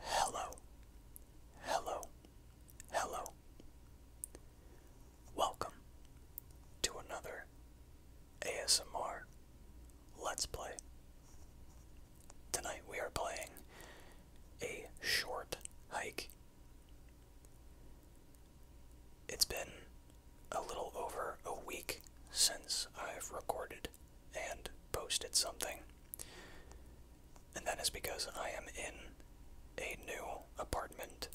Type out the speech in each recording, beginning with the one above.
Hello, hello, hello. Welcome to another ASMR Let's Play. Tonight we are playing a short hike. It's been a little over a week since I've recorded and posted something. And that is because I am in a new apartment.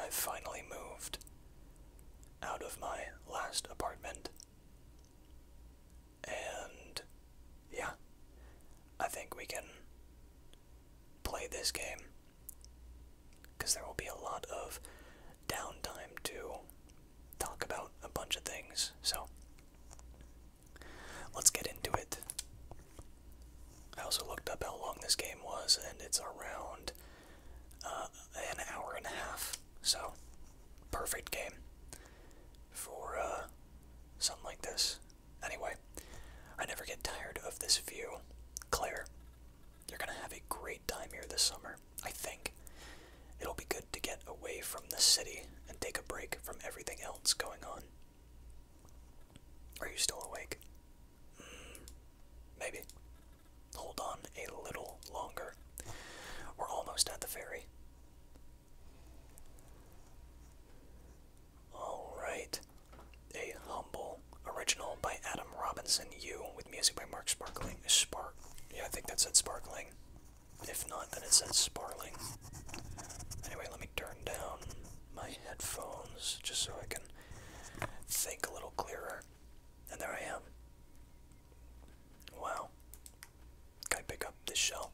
I've finally moved out of my last apartment. And yeah, I think we can play this game because there will be a lot of downtime too talk about a bunch of things. So let's get into it. I also looked up how long this game was, and it's around uh, an hour and a half. So perfect game for uh, something like this. Anyway, I never get tired of this view. Claire you're going to have a great time here this summer, I think. It'll be good to get away from the city and take a break from everything else going on. Are you still awake? Hmm, maybe. Hold on a little longer. We're almost at the ferry. Alright. A humble original by Adam Robinson, you, with music by Mark Sparkling spark. Yeah, I think that said sparkling. If not, then it said sparkling. Anyway, let me turn down my headphones just so I can think a little clearer. And there I am. Wow. Can I pick up this shell?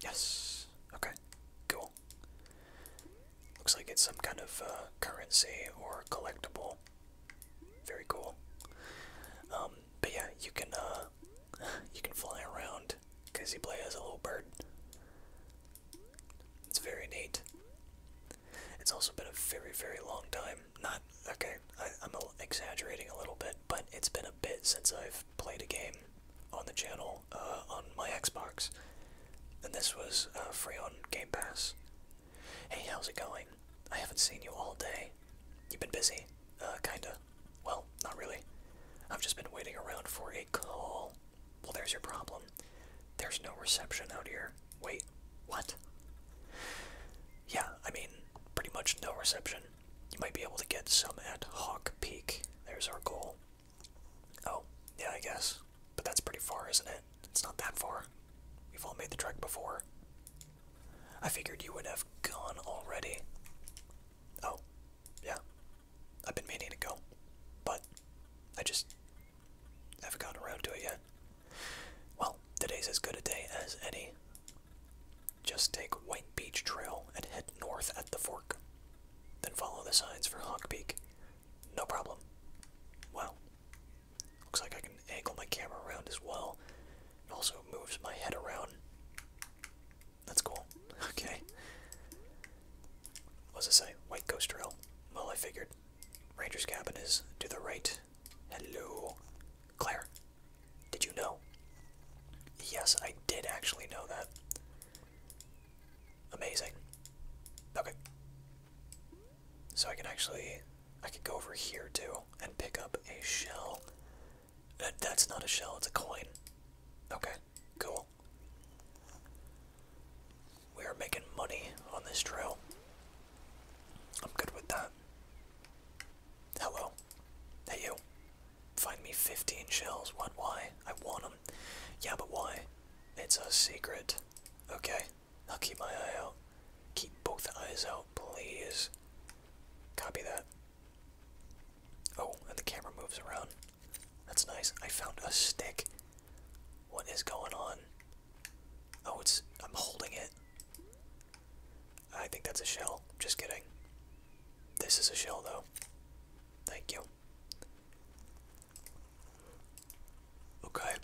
Yes. Okay. Cool. Looks like it's some kind of uh, currency or collectible. Very cool. Um, but yeah, you can uh, you can fly around because you play as a little bird. It's very neat. It's also been a very, very long time. Not okay. I, I'm exaggerating a little bit, but it's been a bit since I've played a game on the channel uh, on my Xbox, and this was uh, free on Game Pass. Hey, how's it going? I haven't seen you all day. You've been busy? Uh, kinda. Well, not really. I've just been waiting around for a call. Well, there's your problem. There's no reception out here. Wait, what? Yeah, I mean, pretty much no reception. You might be able to get some at Hawk Peak. There's our goal. Oh, yeah, I guess. But that's pretty far, isn't it? It's not that far. We've all made the trek before. I figured you would have gone already. Oh, yeah. I've been meaning to go, but I just haven't gotten around to it yet. Well, today's as good a day as any. Just take White Beach Trail and head north at the fork. Then follow the signs for Hawk Peak. No problem. Wow, Looks like I can angle my camera around as well. It also moves my head around. That's cool. Okay. What does it say? White Ghost Trail. Well, I figured. Ranger's cabin is to the right. Hello. Claire, did you know? Yes, I did actually know that. Amazing. Okay. So I can actually I could go over here too and pick up a shell. Uh, that's not a shell, it's a coin. Okay, cool. We are making money on this trail. I'm good with that. Hello. Hey you. Find me 15 shells. What? Why? I want them. Yeah, but why? It's a secret. Okay, I'll keep my eye out. Keep both eyes out, please. Copy that. Oh, and the camera moves around. That's nice. I found a stick. What is going on? Oh, it's. I'm holding it. I think that's a shell. Just kidding. This is a shell, though. Thank you. Okay.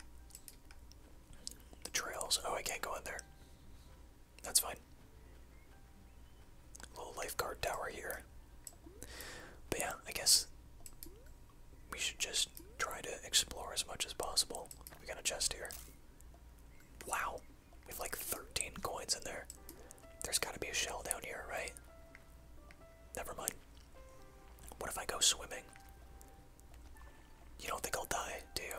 The trails. Oh, I can't go in there. That's fine. Little lifeguard tower here. But yeah, I guess we should just try to explore as much as possible. We got a chest here. Wow, we have like 13 coins in there. There's gotta be a shell down here, right? Never mind. What if I go swimming? You don't think I'll die, do you?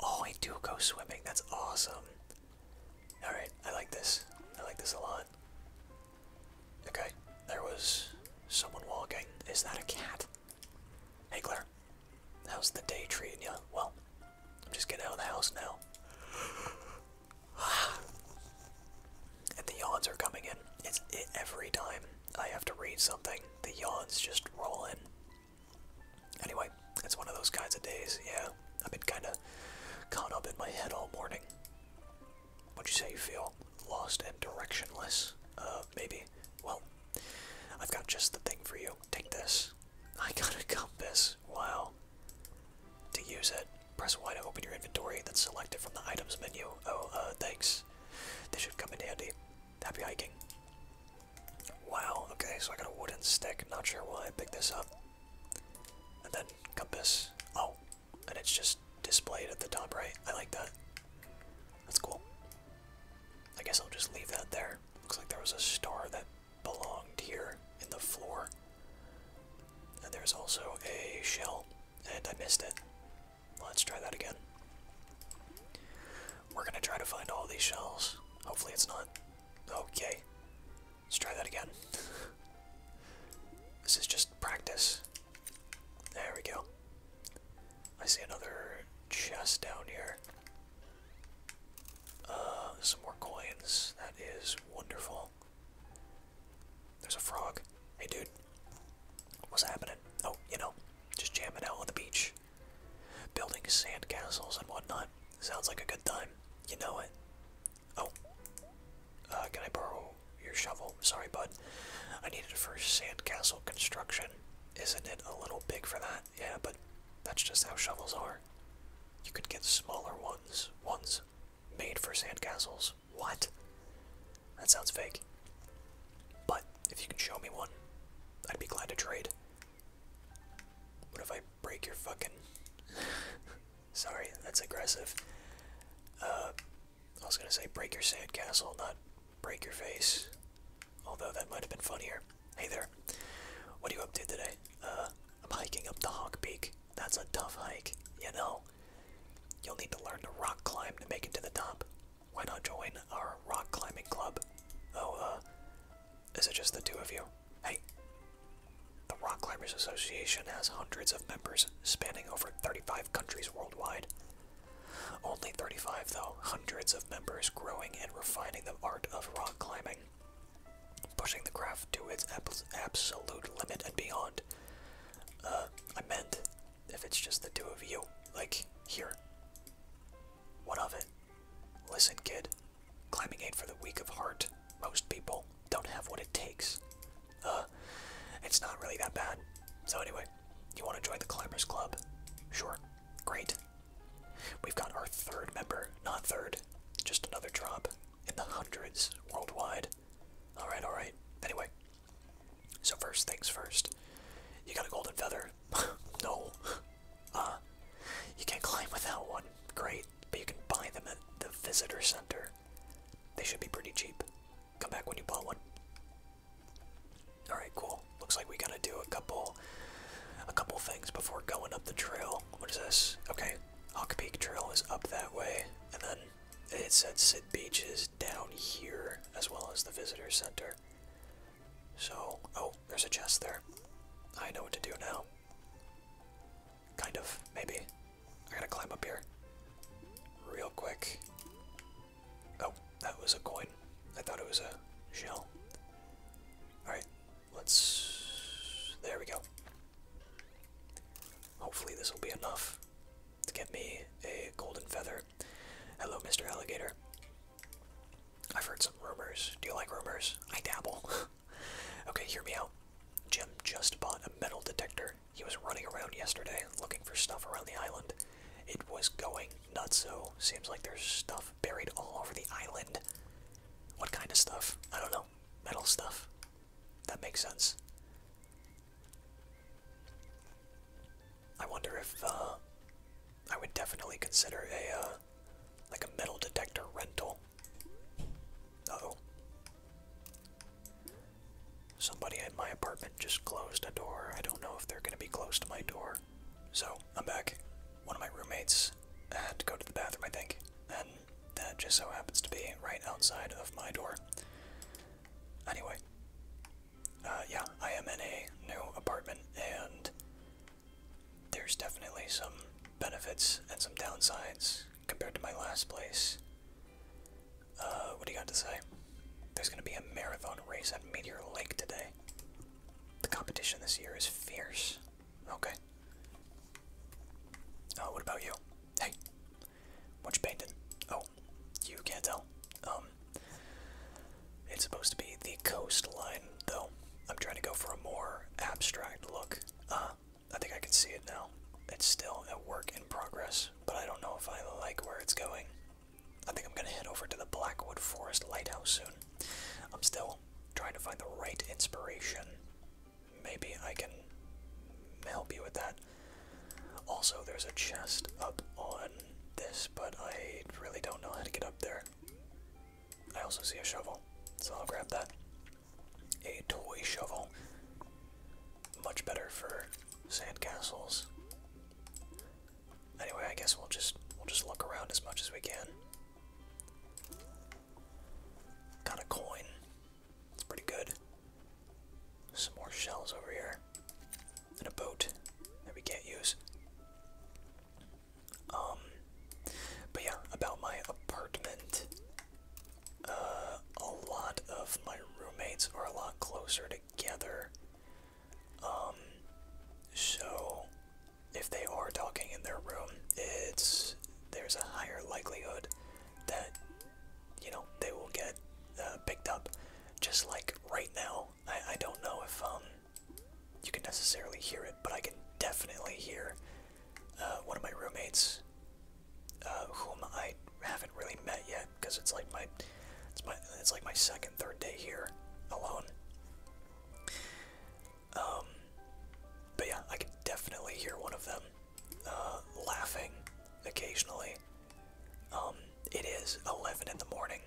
Oh, I do go swimming. That's awesome. Alright, I like this. I like this a lot. Okay, there was someone walking. Is that a cat? Hey, Claire. How's the day treating you? Well, I'm just getting out of the house now. and the yawns are coming in. It's every time I have to read something, the yawns just roll in. Anyway, it's one of those kinds of days, yeah. I've been kinda caught up in my head all morning. What'd you say you feel? Lost and directionless? Uh, maybe. Well, I've got just the thing for you. Take this. I got a compass. Wow. To use it, press Y to open your inventory, then select it from the items menu. Oh, uh, thanks. This should come in handy. Happy hiking. Wow, okay, so I got a wooden stick. Not sure why I picked this up. And then compass. Oh, and it's just displayed at the top right. I like that. That's cool. I guess I'll just leave that there. Looks like there was a star that belonged here in the floor. And there's also a shell, and I missed it. Let's try that again. We're gonna try to find all these shells. Hopefully it's not. Okay. Let's try that again. this is just practice. There we go. I see another chest down here. Uh, some more coins. That is wonderful. There's a frog. Hey, dude. What's happening? Oh, you know, just jamming out on the beach. Building sandcastles and whatnot sounds like a good time. You know it. Oh, uh, can I borrow your shovel? Sorry, bud. I need it for sandcastle construction. Isn't it a little big for that? Yeah, but that's just how shovels are. You could get smaller ones, ones made for sandcastles. What? That sounds fake. But if you can show me one, I'd be glad to trade. What if I break your fucking. Sorry, that's aggressive. Uh, I was gonna say break your sandcastle, not break your face. Although that might have been funnier. Hey there. What are you up to today? Uh, I'm hiking up the Hawk Peak. That's a tough hike, you know. You'll need to learn to rock climb to make it to the top. Why not join our rock climbing club? Oh, uh, is it just the two of you? Hey, the Rock Climbers Association has hundreds of members spanning over 35 countries worldwide. Only 35, though, hundreds of members growing and refining the art of rock climbing, pushing the craft to its absolute limit and beyond. Uh, I meant if it's just the two of you, like, here. What of it? Listen, kid. Climbing ain't for the weak of heart. Most people don't have what it takes. Uh, it's not really that bad. So anyway, you want to join the Climbers Club? Sure. Great. We've got our third member, not third, just another drop in the hundreds worldwide. Alright, alright. Anyway, so first things first. You got a golden feather, no. Uh, you can climb without one. Great. But you can buy them at the visitor center. They should be pretty cheap. Come back when you bought one. Alright, cool. Looks like we gotta do a couple a couple things before going up the trail. What is this? Okay. Hawk Peak Trail is up that way. And then it said Sid Beaches down here as well as the visitor center. So, oh, there's a chest there. I know what to do now. Kind of, maybe. I gotta climb up here. Real quick. Oh, that was a coin. I thought it was a shell. Alright, let's. There we go. Hopefully, this will be enough to get me a golden feather. Hello, Mr. Alligator. I've heard some rumors. Do you like rumors? I dabble. okay, hear me out. Jim just bought a metal detector. He was running around yesterday looking for stuff around the island. It was going nuts, so seems like there's stuff buried all over the island. What kind of stuff? I don't know. Metal stuff. That makes sense. I wonder if, uh, I would definitely consider a, uh, like a metal detector rental. Uh Somebody at my apartment just closed a door. I don't know if they're going to be close to my door. So, I'm back. One of my roommates had to go to the bathroom, I think. And that just so happens to be right outside of my door. Anyway. Uh, yeah, I am in a new apartment and there's definitely some benefits and some downsides compared to my last place. Uh, what do you got to say? There's gonna be a marathon race at Meteor Lake today. The competition this year is fierce. Okay. Uh, what about you? Hey, what you painted? Oh, you can't tell. Um, it's supposed to be the coastline, though. I'm trying to go for a more abstract look. Uh, I think I can see it now. It's still a work in progress, but I don't know if I like where it's going. I think I'm gonna head over to the Blackwood Forest Lighthouse soon. I'm still trying to find the right inspiration. Maybe I can help you with that. Also, there's a chest up on this, but I really don't know how to get up there. I also see a shovel, so I'll grab that. A toy shovel. Much better for sandcastles. Anyway, I guess we'll just we'll just look around as much as we can. Got a coin. It's pretty good. Some more shells over here. And a boat that we can't use. Um, but yeah, about my apartment. Uh, a lot of my roommates are a lot closer together. Um, so if they are talking in their room, it's there's a higher likelihood that you know they will get uh, picked up. Just like right now, I I don't know if um you can not necessarily hear it, but I can definitely hear uh, one of my roommates, uh, whom I haven't really met yet, because it's like my it's my it's like my second third day here alone. Um, but yeah, I can definitely hear one of them uh, laughing occasionally. Um, it is eleven in the morning.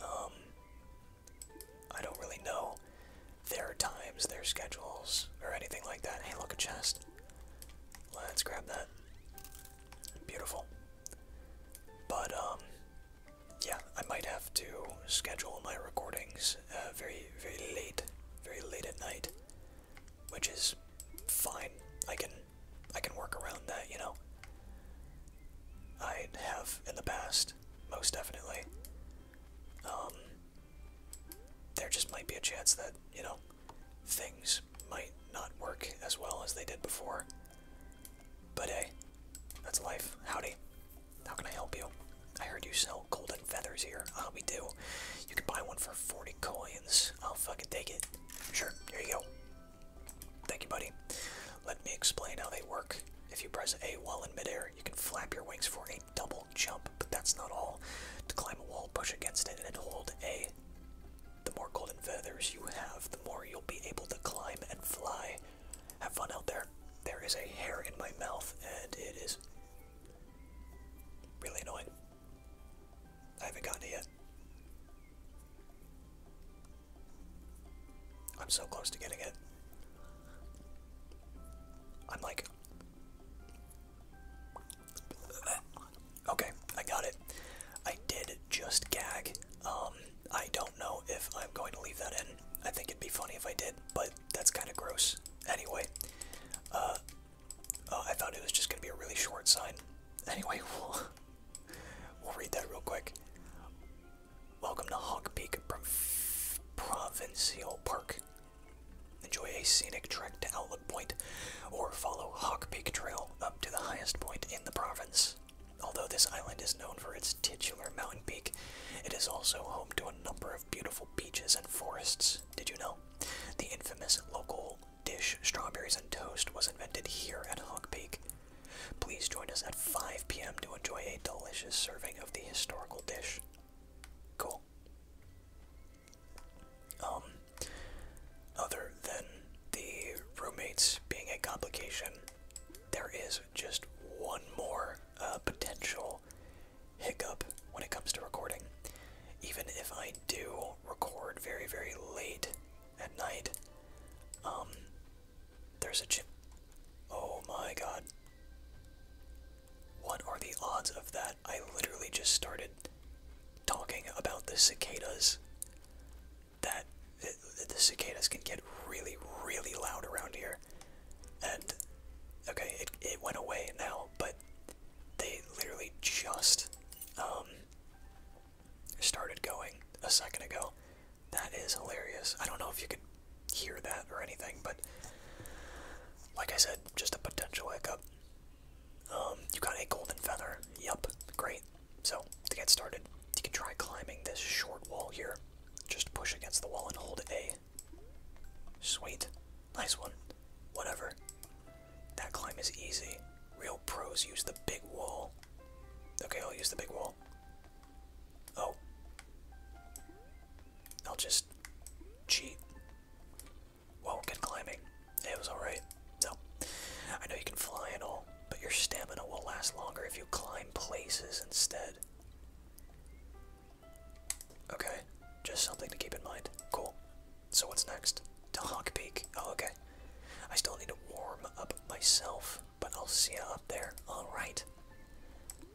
Um, I don't really know their times, their schedules, or anything like that. Hey, look, a chest. Let's grab that. Beautiful. But, um, yeah, I might have to schedule my recordings uh, very, very late, very late at night, which is fine. I can, I can work around that, you know. I have in the past, most definitely. Um, there just might be a chance that, you know, things might not work as well as they did before. But hey, that's life. Howdy. How can I help you? I heard you sell golden feathers here. Ah, we do. You can buy one for 40 coins. I'll fucking take it. Sure, here you go. Thank you, buddy. Let me explain how they work. If you press A while in midair, you can flap your wings for a double jump, but that's not all. To climb a wall, push against it and hold A. The more golden feathers you have, the more you'll be able to climb and fly. Have fun out there. There is a hair in my mouth, and it is really annoying. I haven't gotten it yet. I'm so close to getting it. I'm like. Okay, I got it. I did just gag. Um, I don't know if I'm going to leave that in. I think it'd be funny if I did, but that's kind of gross. Anyway, uh, oh, I thought it was just going to be a really short sign. Anyway, we'll read that real quick. Welcome to Hawk Peak Provincial Park. Enjoy a scenic trek to Outlook Point, or follow Hawk Peak Trail up to the highest point in the province. Although this island is known for its titular mountain peak, it is also home to a number of beautiful beaches and forests. Did you know? The infamous local dish, Strawberries and Toast, was invented here at Hawk Peak. Please join us at 5 p.m. to enjoy a delicious serving the historical dish. Um, other than the roommates being a complication, there is just one more uh, potential hiccup when it comes to recording. Even if I do record very, very late at night, um, there's a chip. Oh my god. What are the odds of that? I literally just started talking about the cicadas. That the cicadas can get really, really loud around here. And okay, it, it went away now, but they literally just um, started going a second ago. That is hilarious. I don't know if you could hear that or anything, but like I said, just a potential hiccup. Um, you got a golden feather. Yup, great. So, to get started, you can try climbing this short wall here. Just push against the wall and hold A. Sweet. Nice one. Whatever. That climb is easy. Real pros use the big wall. Okay, I'll use the big wall. Oh. I'll just cheat. Whoa, good climbing. It was alright. So, I know you can fly and all, but your stamina will last longer if you climb places instead. Okay. Just something to keep in mind. Cool. So what's next? To Hawk Peak. Oh, okay. I still need to warm up myself, but I'll see you up there. Alright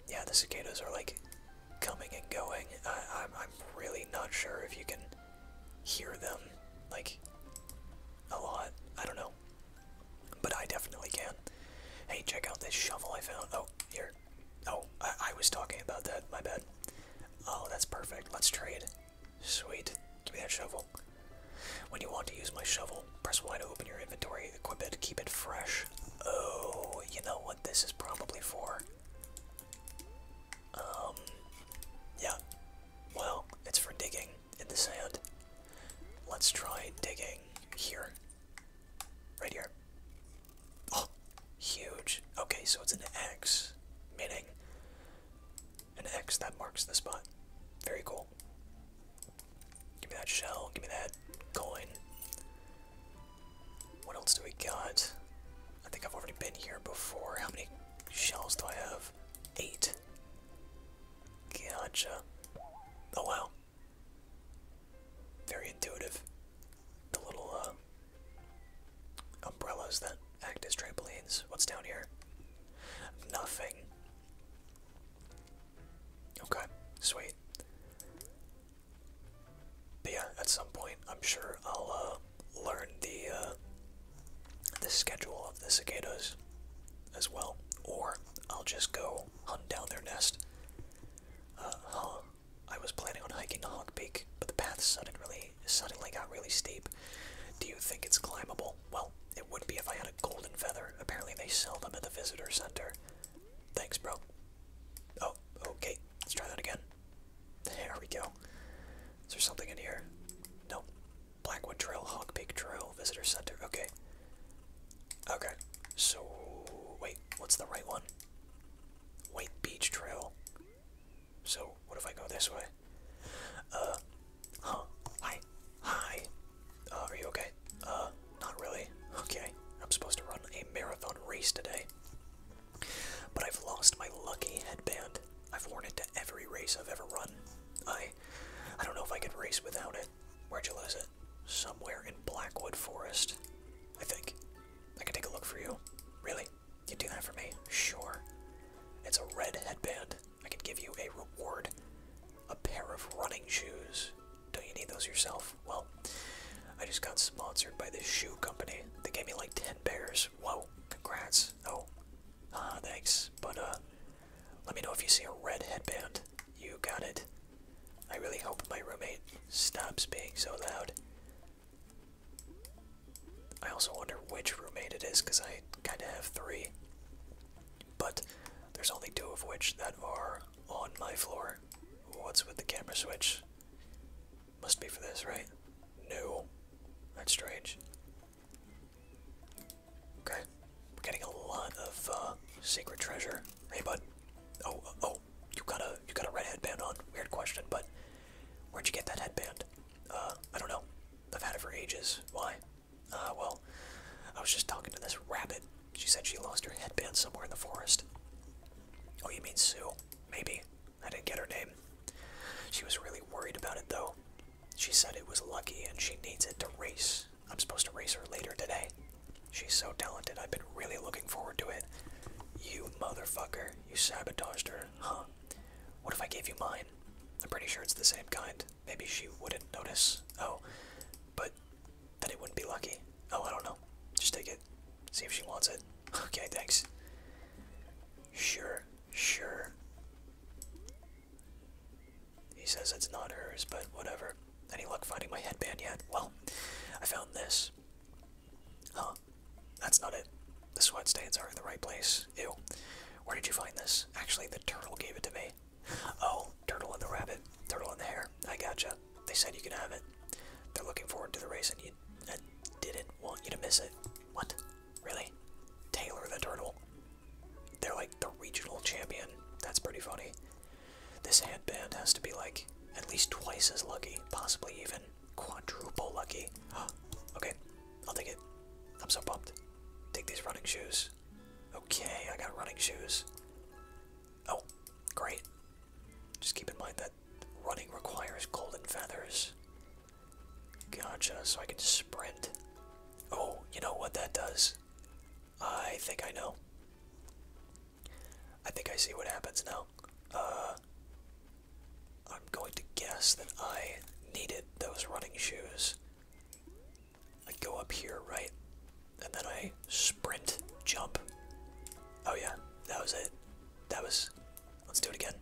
yeah, the cicadas are like coming and going. I, am I'm really not sure if you can hear them like a lot. I don't know, but I definitely can. Hey, check out this shovel I found. Oh, here. Oh, I, I was talking about that. My bad. Oh, that's perfect. Let's trade. Sweet. Give me that shovel. When you want to use my shovel, Press Y to open your inventory, equip it, keep it fresh. Oh, you know what this is probably for? Um, yeah. Well, it's for digging in the sand. Let's try digging here. Right here. Oh, huge. Okay, so it's an X, meaning an X that marks the spot. Very cool. Give me that shell. Give me that coin. What else do we got? I think I've already been here before. How many shells do I have? Eight. Gotcha. Oh wow. Very intuitive. The little uh, umbrellas that act as trampolines. What's down here? Nothing. Okay, sweet. yeah, at some point, I'm sure I'll uh, learn the uh, the schedule of the cicadas as well, or I'll just go hunt down their nest. Uh, I was planning on hiking to Hawk Peak, but the path suddenly suddenly got really steep. Do you think it's climbable? Well, it would be if I had a golden feather. Apparently, they sell them at the visitor center. Thanks, bro. Oh, okay. Let's try that again. There we go. Is there something in here? Nope. Blackwood Trail, Hawk Peak Trail, Visitor Center. Okay. Okay. So, wait, what's the right one? Wait, Beach Trail. So, what if I go this way? Uh, huh. Hi. Hi. Uh, are you okay? Uh, not really. Okay, I'm supposed to run a marathon race today. But I've lost my lucky headband. I've worn it to every race I've ever run. I I don't know if I could race without it. Where'd you lose it? Somewhere in Blackwood Forest, I think. I can take a look for you. Really? You do that for me? Sure. It's a red headband. I can give you a reward. A pair of running shoes. Don't you need those yourself? Well, I just got sponsored by this shoe company. They gave me like 10 pairs. Whoa, congrats. Oh, ah, thanks. But, uh, let me know if you see a red headband. You got it. I really hope my roommate stops being so loud. I also wonder which roommate it is because I kind of have three. But there's only two of which that are on my floor, What's with the camera switch? Must be for this, right? No. That's strange. Okay. We're getting a lot of uh, secret treasure. Hey, bud. Oh, oh, you got a you got a red headband on. Weird question, but where'd you get that headband? Uh, I don't know. I've had it for ages. Why? Uh, well, I was just talking to this rabbit she said she lost her headband somewhere in the forest. Oh, you mean Sue? Maybe. I didn't get her name. She was really worried about it, though. She said it was lucky and she needs it to race. I'm supposed to race her later today. She's so talented, I've been really looking forward to it. You motherfucker, you sabotaged her, huh? What if I gave you mine? I'm pretty sure it's the same kind. Maybe she wouldn't notice. Oh, but then it wouldn't be lucky. Oh, I don't know. Just take it. See if she wants it. Okay, thanks. Sure, sure. He says it's not hers, but whatever. Any luck finding my headband yet? Well, I found this. Huh. That's not it. The sweat stains are in the right place. Ew. Where did you find this? Actually, the turtle gave it to me. Oh, Turtle and the rabbit. Turtle and the hare. I gotcha. They said you can have it. They're looking forward to the race and you didn't want you to miss it. What? Really? Taylor the turtle. They're like the regional champion. That's pretty funny. This handband has to be like at least twice as lucky, possibly even quadruple lucky. okay, I'll take it. I'm so pumped. Take these running shoes. Okay, I got running shoes. Oh, great. Just keep in mind that running requires golden feathers. Gotcha, so I can sprint. Oh, you know what that does? I think I know. I think I see what happens now. Uh, I'm going to guess that I needed those running shoes. I go up here, right? and then I sprint jump. Oh yeah, that was it. That was. Let's do it again.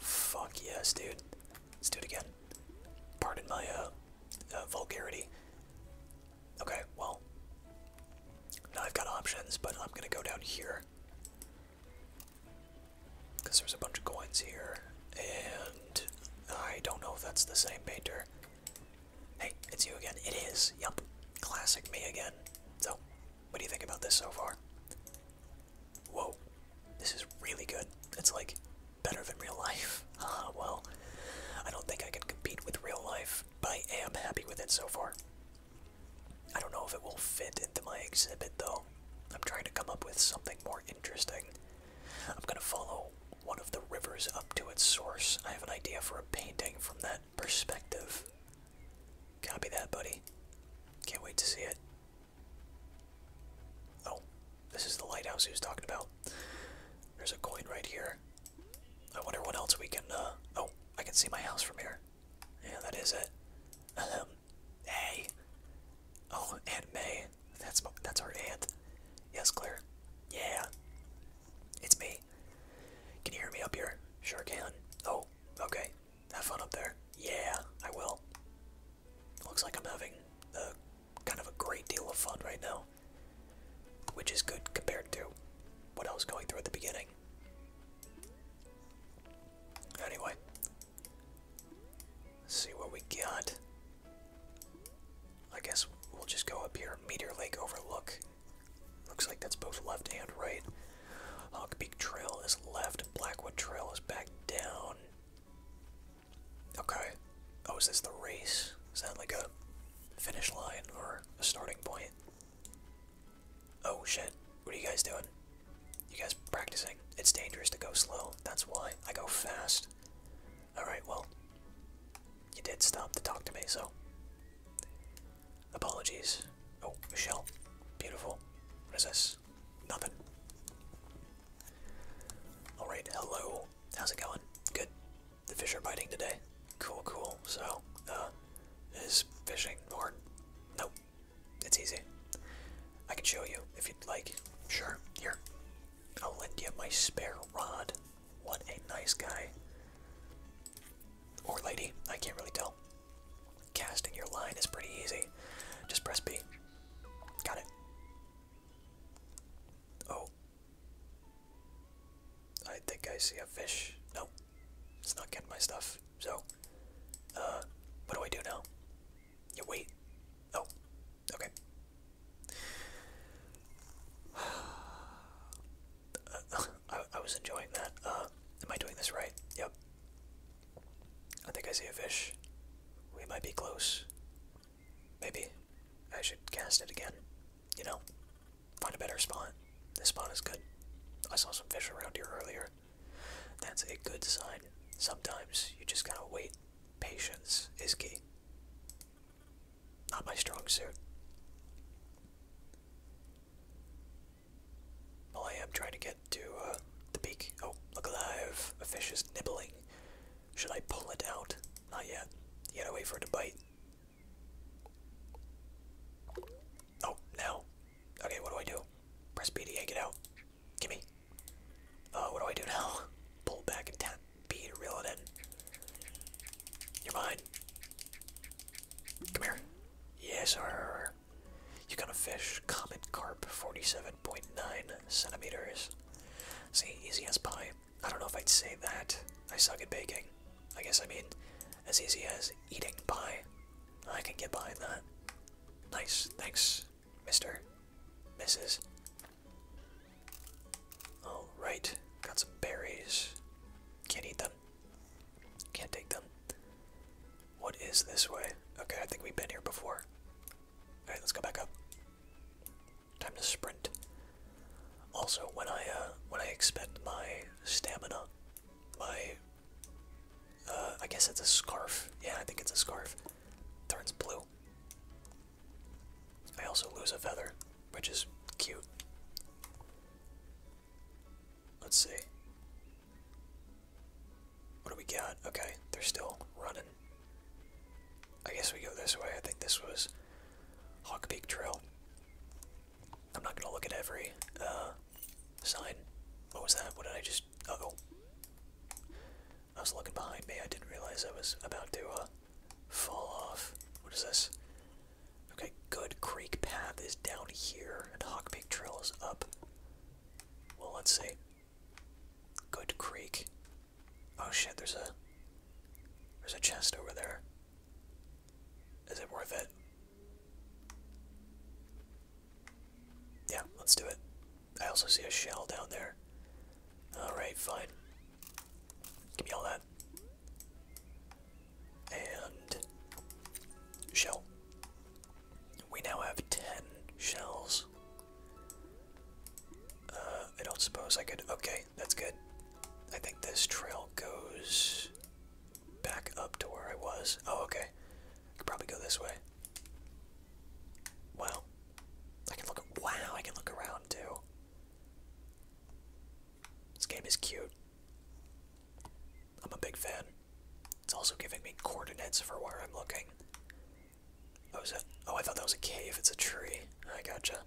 Fuck yes, dude. Let's do it again. Pardon my uh, uh vulgarity. Okay, well. Now I've got options, but I'm gonna go down here. Because there's a bunch of coins here, and I don't know if that's the same painter. Hey, it's you again. It is. Yup. Classic me again. So, what do you think about this so far? Whoa. This is really good. It's like better than real life. Ah, well, I don't think I can compete with real life, but I am happy with it so far. I don't know if it will fit into my exhibit though. I'm trying to come up with something more interesting. I'm gonna follow one of the rivers up to its source. I have an idea for a painting from that perspective. Copy that, buddy. Can't wait to see it. Oh, this is the lighthouse he was talking about. There's a coin right here. I wonder what else we can, uh, oh, I can see my house from here. Yeah, that is it. Um, hey. Oh, Aunt May. That's, that's our aunt. Yes, Claire. Yeah. It's me. Can you hear me up here? Sure can. Oh, okay. Have fun up there. Yeah, I will. Looks like I'm having a, kind of a great deal of fun right now. Which is good compared to what I was going through at the beginning. Anyway. see what we got. I guess we'll just go up here. Meteor Lake Overlook. Looks like that's both left and right. Hawkbeak Trail is left, Blackwood Trail is back down. Okay. Oh, is this the race? Is that like a finish line or a starting point? Oh shit. What are you guys doing? You guys practicing? It's dangerous to go slow. That's why. I go fast. Alright, well you did stop to talk to me, so apologies. Oh, Michelle, beautiful. What is this? Nothing. All right, hello. How's it going? Good. The fish are biting today. Cool, cool. So, uh, is fishing hard? No, It's easy. I can show you if you'd like. Sure. Here. I'll lend you my spare rod. What a nice guy. Or lady, I can't really tell. Casting your line is pretty easy. Just press B. Got it. Oh. I think I see a fish. No. It's not getting my stuff. So, uh, what do I do now? You wait. Oh. Okay. I, was enjoying that. Uh, am I doing this right? Yep. I think I see a fish. We might be close. Maybe I should cast it again. You know, find a better spot. This spot is good. I saw some fish around here earlier. That's a good sign. Sometimes you just gotta wait. Patience is key. Not my strong suit. Well, I am trying to get to uh, the beak. Oh, look alive! A fish is nibbling. Should I pull it out? Not yet. You gotta wait for it to bite. Oh, no! Okay, what do I do? Press B to yank it out. Gimme. Oh, what do I do now? Pull back and tap B to reel it in. You're mine. Come here. Yes, sir. You got a fish, common carp, 47.9 centimeters. See, easy as pie. I don't know if I'd say that. I suck at baking. I guess I mean as easy as eating pie. I can get behind that. Nice, thanks, Mr. Mrs. Alright, got some berries. Can't eat them. Can't take them. What is this way? Okay, I think we've been here before. Alright, let's go back up. Time to sprint. Also, when I uh, when I expend my stamina, my uh, I guess it's a scarf. Yeah, I think it's a scarf. Turns blue. I also lose a feather which is cute. Let's see. What do we got? Okay, they're still running. I guess we go this way. I think this was Hawk Peak Trail. I'm not gonna look at every uh, sign. What was that? What did I just? Uh oh. I was looking behind me. I didn't realize I was about to uh, fall off. What is this? Okay, Good Creek Path is down here, and Hawk Peak Trail is up. Well, let's see. Good Creek. Oh shit, there's a there's a chest over there. Is it worth it? Yeah, let's do it. I also see a shell down there. Alright, fine. Give me all that and shell. We now have 10 shells. Uh, I don't suppose I could. Okay, that's good. I think this trail goes back up to where I was. Oh, okay. I could probably go this way. Wow. I can look. Wow, I can look around too. This game is cute. I'm a big fan. It's also giving me coordinates for where I'm looking. Oh, is that? Oh, I thought that was a cave. It's a tree. I gotcha.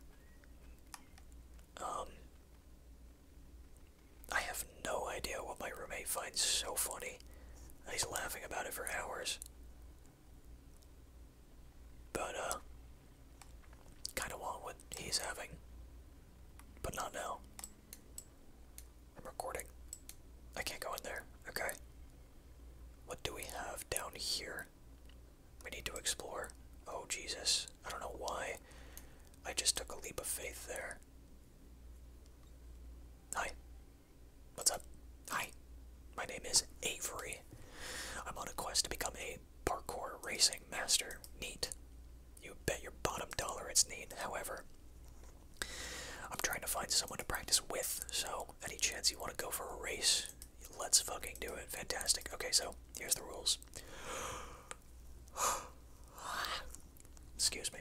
Um, I have no idea what my roommate finds so funny. He's laughing about it for hours. But, uh, Kind of want what he's having, but not now. I'm recording. I can't go in there. Okay. What do we have down here? We need to explore. Oh, Jesus. I don't know why. I just took a leap of faith there. Hi. What's up? Hi. My name is Avery. I'm on a quest to become a parkour racing master. Neat. You bet your bottom dollar it's neat. However, I'm trying to find someone to practice with, so any chance you want to go for a race, let's fucking do it. Fantastic. Okay, so here's the rules. Excuse me.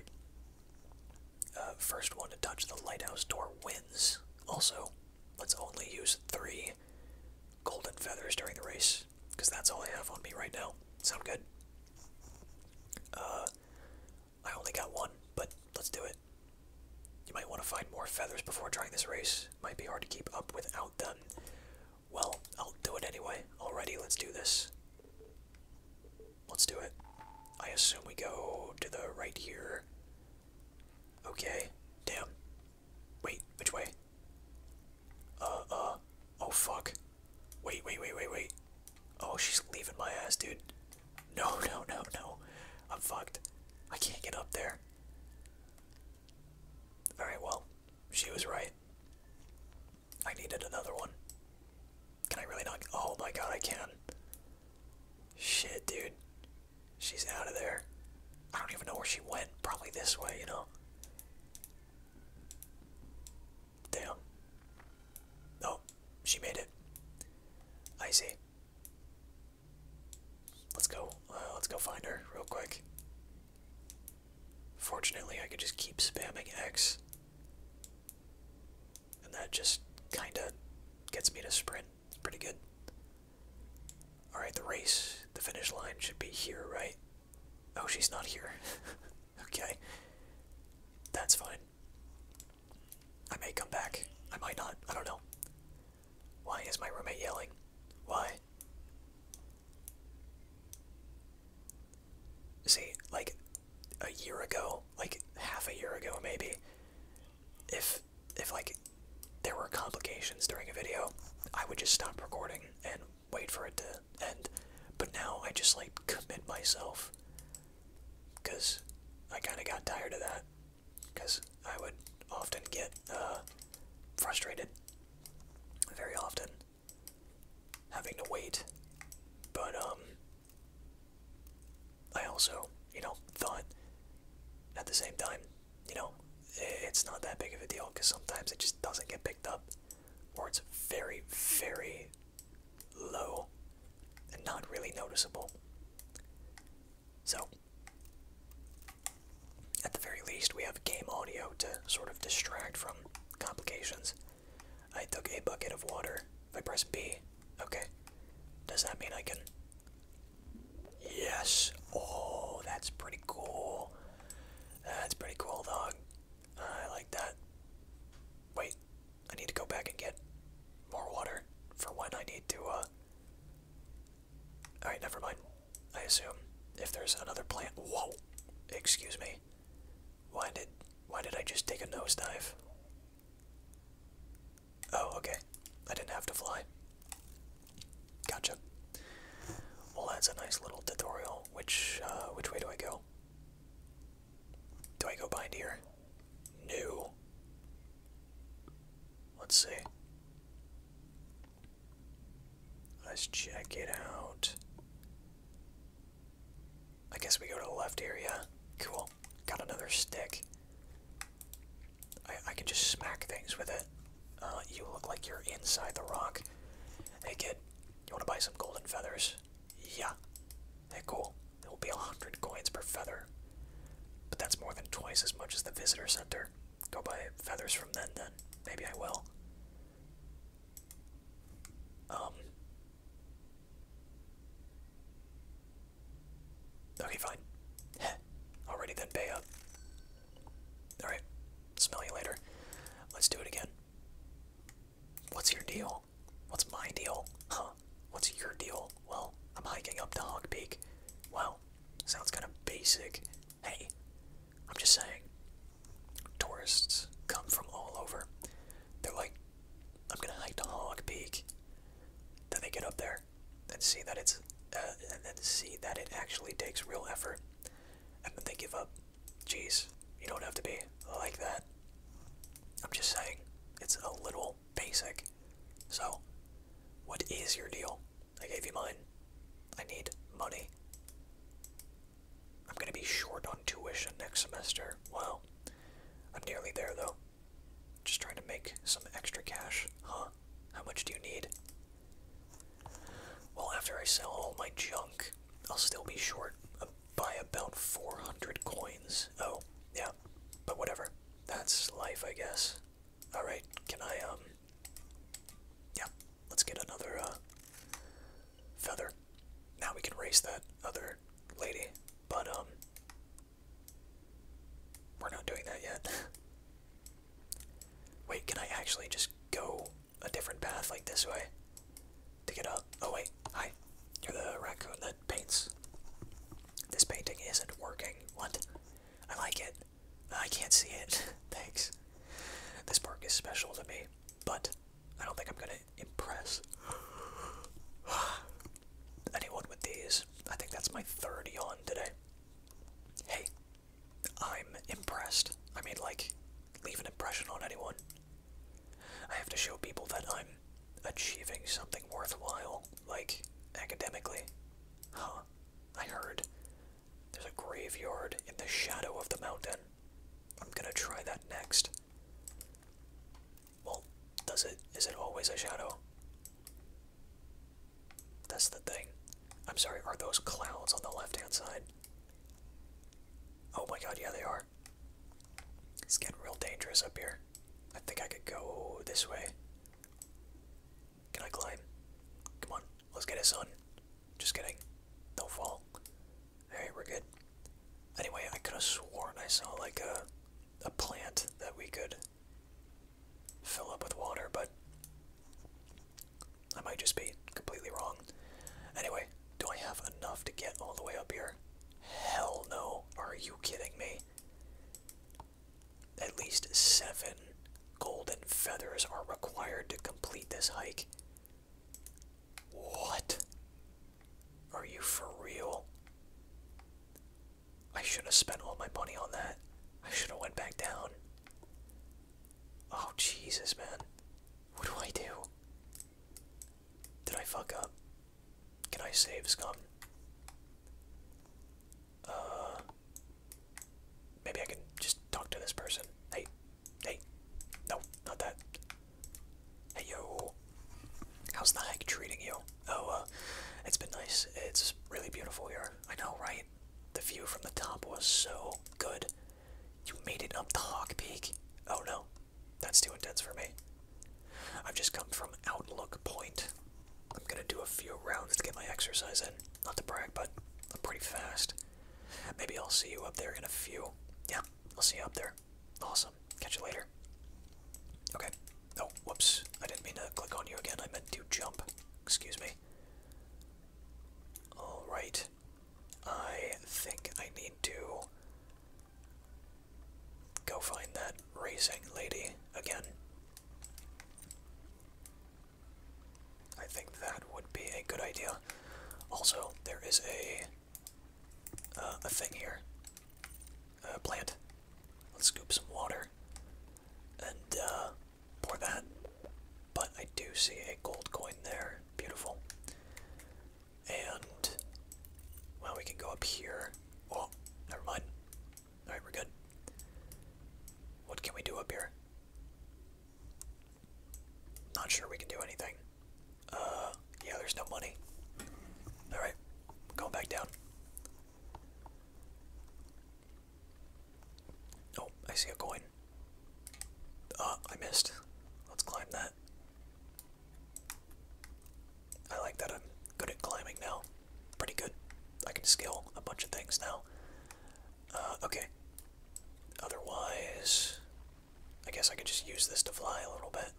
Uh, first one to touch the lighthouse door wins. Also, let's only use three golden feathers during the race, because that's all I have on me right now. Sound good? Uh, I only got one, but let's do it. You might want to find more feathers before trying this race. Might be hard to keep up without them. Well, I'll do it anyway. Alrighty, let's do this. Let's do it. I assume we go to the right here. Okay. Damn. Wait, which way? Uh, uh, oh fuck. Wait, wait, wait, wait, wait. Oh, she's leaving my ass, dude. No, no, no, no. I'm fucked. I can't get up there. Alright, well, she was right. I needed another one. Can I really not? Oh my god, I can. Shit, dude. She's out of there. I don't even know where she went. Probably this way, you know? Damn. No, oh, she made it. I see. Let's go. Uh, let's go find her real quick. Fortunately, I could just keep spamming X. And that just kinda gets me to sprint. pretty good. Alright, the race, the finish line should be here, right? Oh, she's not here. okay. That's fine. I may come back. I might not. I don't know. Why is my roommate yelling? Why? See, like, a year ago, like, half a year ago, maybe, if, if, like, there were complications during a video, I would just stop recording and wait for it to end. But now I just like commit myself because I kind of got tired of that because I would often get uh, frustrated very often having to wait. But, um, I also, you know, thought at the same time, you know, it's not that big of a deal because sometimes it just doesn't get picked up or it's very, very low and not really noticeable. So, at the very least, we have game audio to sort of distract from complications. I took a bucket of water. If I press B, okay. Does that mean I can. Yes! Oh, that's pretty cool. That's pretty cool, dog. I like that. Wait, I need to go back and get more water for when I need to, uh. Alright, never mind. I assume if there's another plant. Whoa! Excuse me. Why did. Why did I just take a nose dive? Oh, okay. I didn't have to fly. Gotcha. Well, that's a nice little tutorial. Which uh, which way do I go? Do I go behind here? No. Let's see. Let's check it out. I guess we go to the left area. Cool. Got another stick. I, I can just smack things with it. Uh, you look like you're inside the rock. Hey kid, you want to buy some golden feathers? Yeah. They're cool. There will be a 100 coins per feather. But that's more than twice as much as the visitor center. Go buy feathers from them then. Maybe I will. Um. Okay, fine. Already then, pay up. Alright. Smell you later. Let's do it again. What's your deal? What's my deal? Huh? What's your deal? Well, I'm hiking up to Hog Peak. Well, sounds kind of basic. Hey, I'm just saying, tourists come from all over. They're like, I'm gonna hike to Hog Peak. Then they get up there and see that it's, uh, and then see that it actually takes real effort, and then they give up. Jeez, you don't have to be like that. I'm just saying, it's a little basic. So, what is your deal? I gave you mine. I need money. I'm gonna be short on tuition next semester. Well, I'm nearly there though. Just trying to make some extra cash, huh? How much do you need? Well, after I sell all my junk, I'll still be short uh, by about 400 coins. Oh, yeah, but whatever. That's life, I guess. Alright, can I, um. Yeah, let's get another, uh, Feather. Now we can race that other lady, but, um. We're not doing that yet. Wait, can I actually just go a different path, like this way, to get up. Oh wait, hi. You're the raccoon that paints. This painting isn't working. What? I like it. I can't see it. Thanks. This park is special to me, but I don't think I'm gonna impress anyone with these. I think that's my third yawn today. Hey, I'm impressed. I mean, like, leave an impression on anyone. I have to show people that I'm achieving something worthwhile, like, academically. Huh, I heard. There's a graveyard in the shadow of the mountain. I'm gonna try that next. Well, does it, is it always a shadow? That's the thing. I'm sorry, are those clouds on the left-hand side? Oh my god, yeah, they are. It's getting real dangerous up here. I think I could go this way. Can I climb? Come on, let's get a sun. Just kidding. do fall. Alright, we're good. Anyway, I could have sworn I saw like a a plant that we could fill up with water, but I might just be completely wrong. Anyway, do I have enough to get all the way up here? Hell no. Are you kidding me? At least seven golden feathers are required to complete this hike. What? Are you for real? I should have spent all my money on that. I should have went back down. Oh Jesus, man. What do I do? Did I fuck up? Can I save Scott? Uh, maybe I can just talk to this person. Hey, hey, no, not that. Hey yo, how's the hike treating you? Oh, uh, it's been nice. It's really beautiful here. I know, right? The view from the top was so good. You made it up the Hawk Peak? Oh no, that's too intense for me. I've just come from Outlook Point. I'm gonna do a few rounds to get my exercise in. Not to brag, but I'm pretty fast. Maybe I'll see you up there in a few. Yeah, I'll see you up there. Awesome. Catch you later. Okay. Oh, whoops. I didn't mean to click on you again. I meant to jump. Excuse me. Alright. I think I need to go find that racing lady again. I think that would be a good idea. Also, there is a uh, a thing here. A plant. Let's scoop some water and uh, pour that but I do see a gold coin there. Beautiful. And, well, we can go up here. Oh, never mind. Alright, we're good. What can we do up here? Not sure we can do anything. Uh, yeah, there's no money. Alright, going back down. Oh, I see a coin going. Oh, uh, I missed. Let's climb that. I like that I'm good at climbing now. Pretty good. I can scale a bunch of things now. Uh, okay. Otherwise, I guess I could just use this to fly a little bit.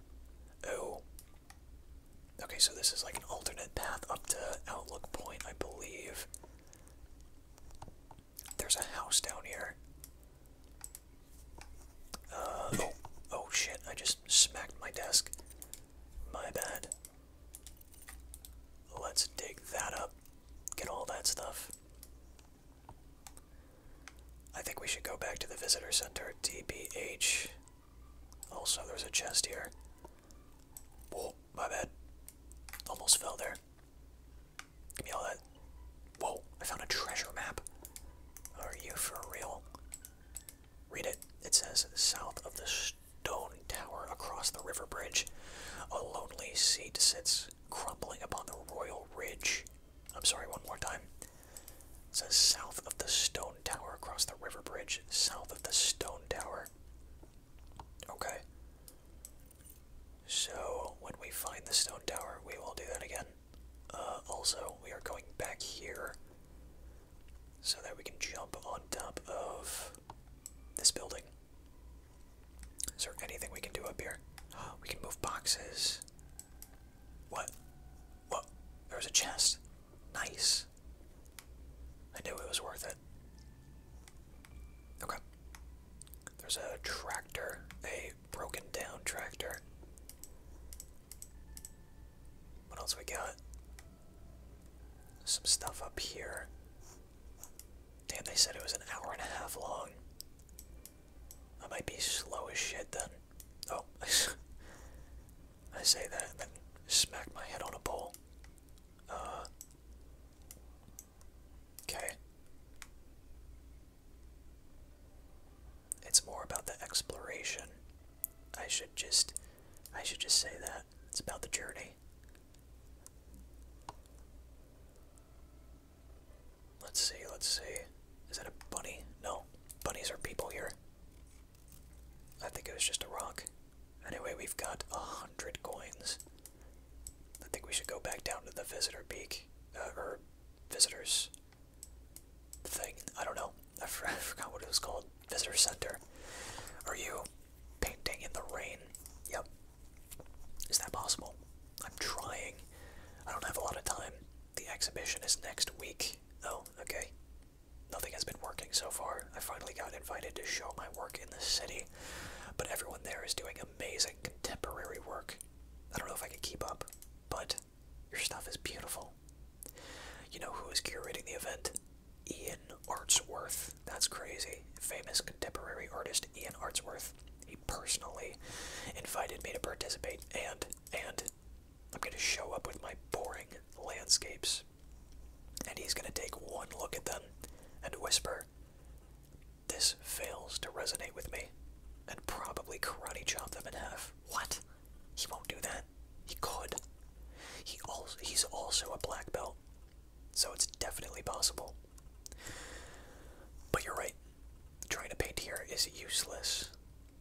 Oh. Okay, so this is like an alternate path up to Outlook Point, I believe. There's a house down here. Uh, oh, oh shit, I just smacked my desk. My bad. Let's dig that up. Get all that stuff. I think we should go back to the visitor center, DBH. Also, there's a chest here. Oh, my bad. Almost fell there. Give me all that. Whoa, I found a treasure map. Are you for real? Read it. It says, south of the stone tower across the river bridge, a lonely seat sits crumbling upon the royal ridge. I'm sorry, one more time. It says, south of the stone tower across the river bridge, south of the stone tower. Okay. So, when we find the stone tower, we will do that again. Uh, also, we are going back here so that we can jump on top of this building. Is there anything we can do up here? We can move boxes. What? What? There was a chest. Nice. I knew it was worth it. Okay. There's a tractor, a broken down tractor. What else we got? Some stuff up here. Damn, they said it was an hour and a half long. I might be slow as shit then. Oh, I say that and then smack my head on a pole. Uh, Okay. It's more about the exploration. I should just I should just say that. It's about the journey. Let's see, let's see. Is that a bunny? No. Bunnies are people here. I think it was just a rock. Anyway, we've got a hundred coins. I think we should go back down to the visitor peak, uh, or visitors thing. I don't know. I forgot what it was called. Visitor center. Are you painting in the rain? Yep. Is that possible? I'm trying. I don't have a lot of time. The exhibition is next week. Oh, okay. Nothing has been working so far. I finally got invited to show my work in the city, but everyone there is doing amazing contemporary work. I don't know if I could keep up, but your stuff is beautiful. You know who is curating the event? Ian Artsworth. That's crazy. Famous contemporary artist Ian Artsworth. He personally invited me to participate, and and I'm going to show up with my boring landscapes, and he's going to take one look at them and whisper, this fails to resonate with me. And probably karate chop them in half. What? He won't do that. He could. He also he's also a black belt. So it's definitely possible. But you're right. Trying to paint here is useless.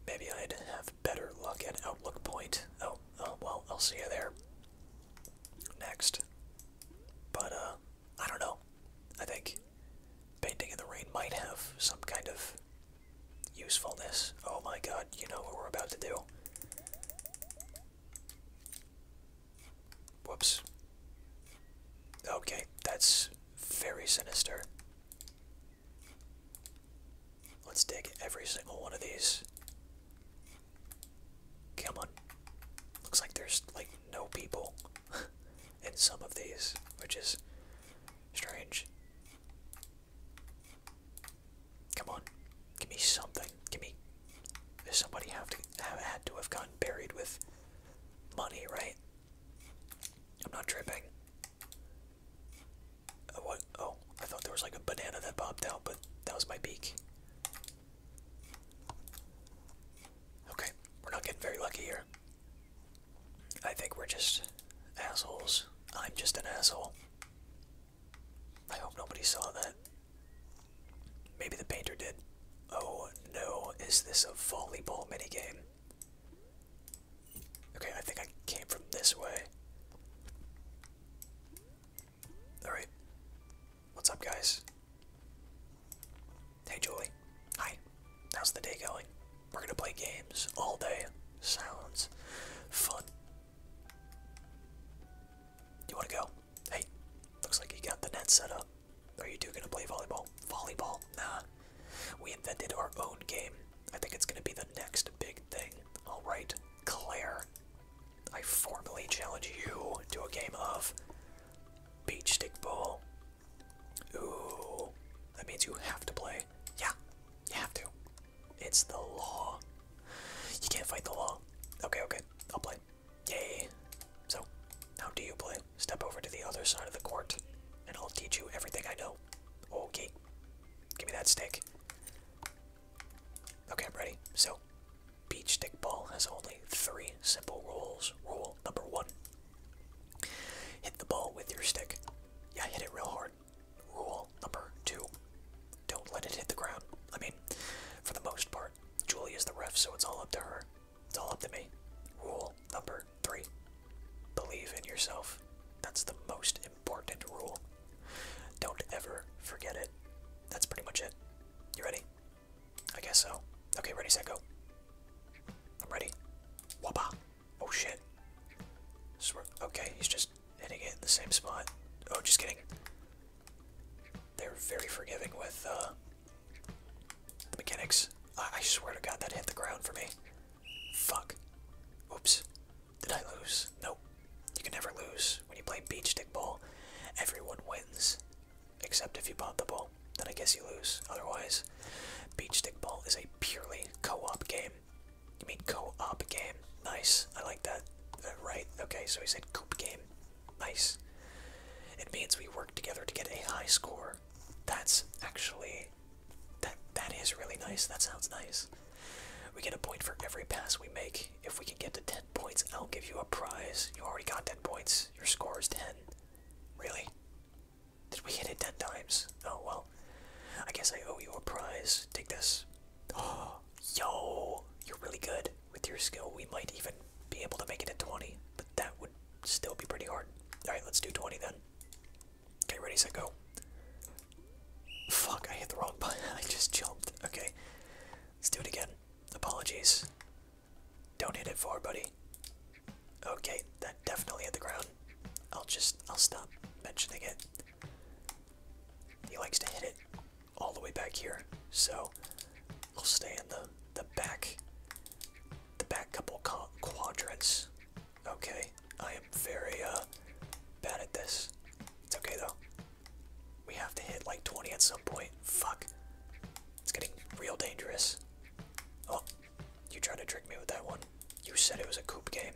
Maybe I'd have better luck at outlook point. Oh, oh well, I'll see you there. Next. But uh I don't know. I think painting in the rain might have some kind of usefulness. Oh my god, you know what we're about to do. Whoops. Okay, that's very sinister. Let's dig every single one of these. Come on. Looks like there's, like, no people. in some of these, which is strange. Come on, give me something. Give me. Somebody have to have had to have gone buried with money, right? I'm not tripping. Uh, what? Oh, I thought there was like a banana that popped out, but that was my beak. Okay, we're not getting very lucky here. I think we're just assholes. I'm just an asshole. I hope nobody saw that. Maybe the painter did. Oh no, is this a volleyball mini game? Okay, I think I came from this way. Alright. What's up, guys? Hey, Julie. Hi. How's the day going? We're gonna play games all day. Sounds fun. You wanna go? Hey, looks like you got the net set up. Are you two gonna play volleyball? Volleyball? Nah. We invented our own game. I think it's gonna be the next big thing. Alright, Claire. I formally challenge you to a game of beach stick ball. Ooh, that means you have to play. Yeah, you have to. It's the law. You can't fight the law. Okay, okay, I'll play. Yay. So, how do you play? Step over to the other side of the court, and I'll teach you everything I know. Okay, give me that stick. Okay, I'm ready. So, beach stick ball has only three simple rules. Rule number one Hit the ball with your stick. Yeah, hit it real hard. Rule number two don't let it hit the ground. I mean, for the most part, Julie is the ref, so it's all up to her. It's all up to me. Rule number three believe in yourself. That's the most important rule. Don't ever forget it. That's pretty much it. You ready? I guess so. Okay, ready, set, go. I'm ready. Wabba! Oh shit. Okay, he's just hitting it in the same spot. Oh, just kidding. They're very forgiving with uh, the mechanics. I, swear to God, that hit the ground for me. Fuck. Oops. Did I lose? Nope. You can never lose when you play beach stick ball. Everyone wins, except if you bought the ball then I guess you lose. Otherwise, Beach Stickball is a purely co-op game. You mean co-op game? Nice. I like that. Uh, right. Okay, so he said coop game. Nice. It means we work together to get a high score. That's actually that that is really nice. That sounds nice. We get a point for every pass we make. If we can get to 10 points, I'll give you a prize. You already got 10 points. Your score is 10. Really? Did we hit it ten times? Oh well. I guess I owe you a prize. Take this. Oh, yo, you're really good. With your skill, we might even be able to make it to 20, but that would still be pretty hard. Alright, let's do 20 then. Okay, ready, set, go. Fuck, I hit the wrong button. I just jumped. Okay, let's do it again. Apologies. Don't hit it far, buddy. Okay, that definitely hit the ground. I'll just, I'll stop mentioning it. He likes to hit it all the way back here, so we'll stay in the, the back, the back couple quadrants. Okay, I am very uh, bad at this. It's okay though. We have to hit like 20 at some point. Fuck. It's getting real dangerous. Oh, you tried to trick me with that one. You said it was a coop game.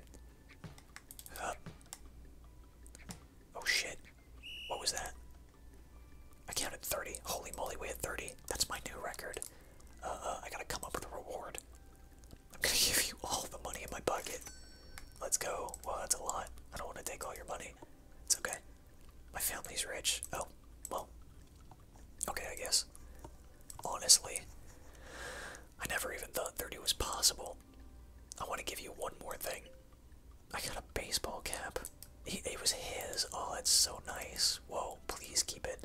Oh shit. What was that? I counted 30. Holy moly, we had 30. That's my new record. Uh, uh, I gotta come up with a reward. I'm gonna give you all the money in my bucket. Let's go. Well, that's a lot. I don't want to take all your money. It's okay. My family's rich. Oh, well, Okay, I guess. Honestly, I never even thought 30 was possible. I want to give you one more thing. I got a baseball cap. it was his. Oh, it's so nice. Whoa, please keep it.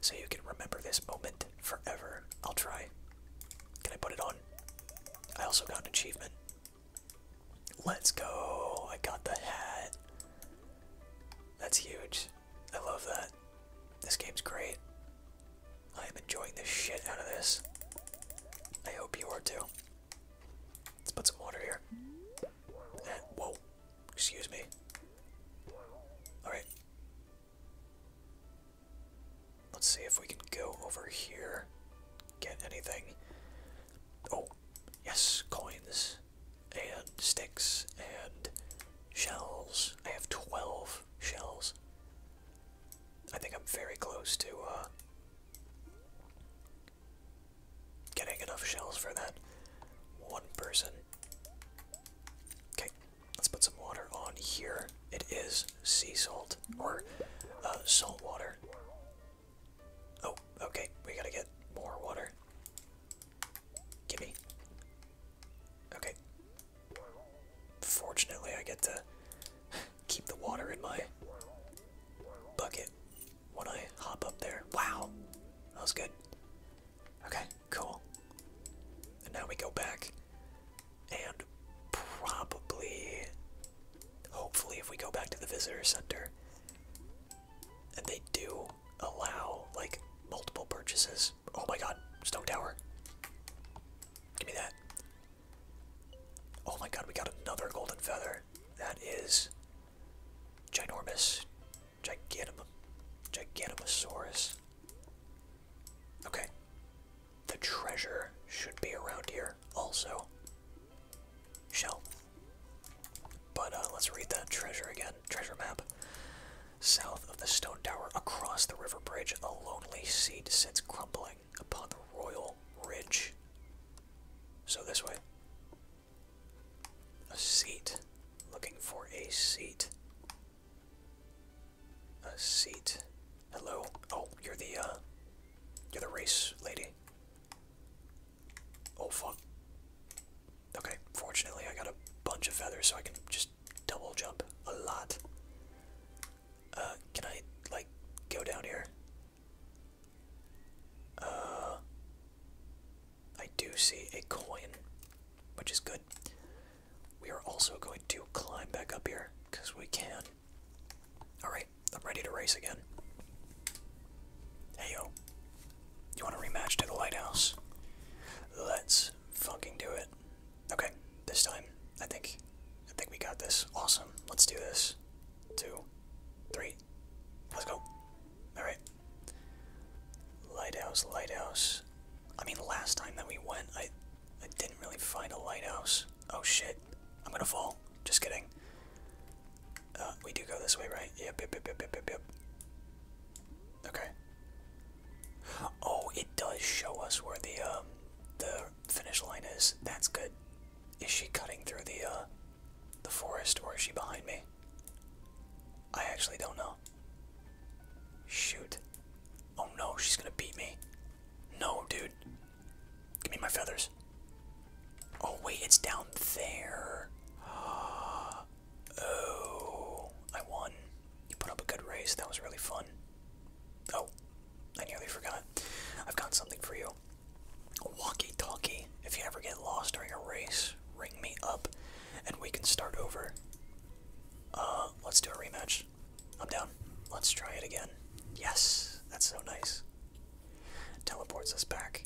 So you can remember this moment forever. I'll try. Can I put it on? I also got an achievement. Let's go. I got the hat. That's huge. I love that. This game's great. I am enjoying the shit out of this. I hope you are too. Let's put some water here. Eh, whoa. Excuse me. Alright. Let's see if we can go over here. Get anything. Oh, yes, coins and sticks and shells. I have 12 shells. I think I'm very close to uh, getting enough shells for that one person. Okay, let's put some water on here. It is sea salt, or uh, salt water. Oh, okay, we gotta get more water. Gimme. Okay. Fortunately, I get to keep the water in my bucket when I hop up there. Wow! That was good. Okay, cool. And now we go back and probably, hopefully, if we go back to the visitor center and they do allow like multiple purchases. Oh my god, Stone Tower. Give me that. Oh my god, we got another golden feather. That is ginormous. Gigantum Gigantosaurus. Okay. The treasure should be around here also. Shell. But uh, let's read that treasure again treasure map. South of the stone tower, across the river bridge, a lonely seat sits crumbling upon the royal ridge. So this way. A seat. Looking for a seat. A seat. Hello. Oh, you're the uh you're the race lady. Oh fuck. Okay, fortunately I got a bunch of feathers so I can just double jump a lot. Uh, can I, like, go down here? Uh, I do see a coin, which is good. We are also going to climb back up here, because we can. Alright, I'm ready to race again. Hey you want to rematch to the lighthouse? Let's fucking do it. Okay, this time I think I think we got this. Awesome. Let's do this. Two, three. Let's go. All right. Lighthouse, lighthouse. I mean, last time that we went, I I didn't really find a lighthouse. Oh shit. I'm gonna fall. Just kidding. Uh, we do go this way, right? Yep, yep, yep, yep, yep, yep. Okay. Oh, it does show us where the um the finish line is. That's good. Is she cutting through the uh the forest or is she behind me? I actually don't know. Shoot. Oh no, she's gonna beat me. No, dude. Give me my feathers. Oh wait, it's down there. Oh, Oh, I won. You put up a good race. That was really fun. Oh, I nearly forgot. I've got something for you. A walkie-talkie. If you ever get lost during a race, ring me up, and we can start over. Uh, let's do a rematch. I'm down. Let's try it again. Yes, that's so nice. Teleports us back.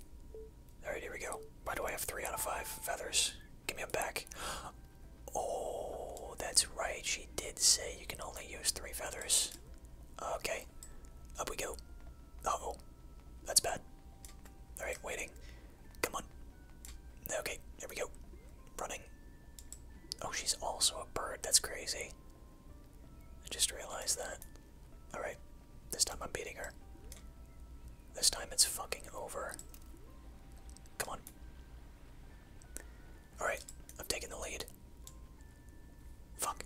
Alright, here we go. By the way, I have three out of five feathers? Give me a back. Oh, that's right. She did say you can only use three feathers. Okay. Up we go. oh That's bad. Alright, waiting. Come on. Okay, here we go. Running. Oh, she's also a bird. That's crazy. I just realized that. Alright. This time I'm beating her. This time it's fucking over. Come on. Alright, I've taken the lead. Fuck.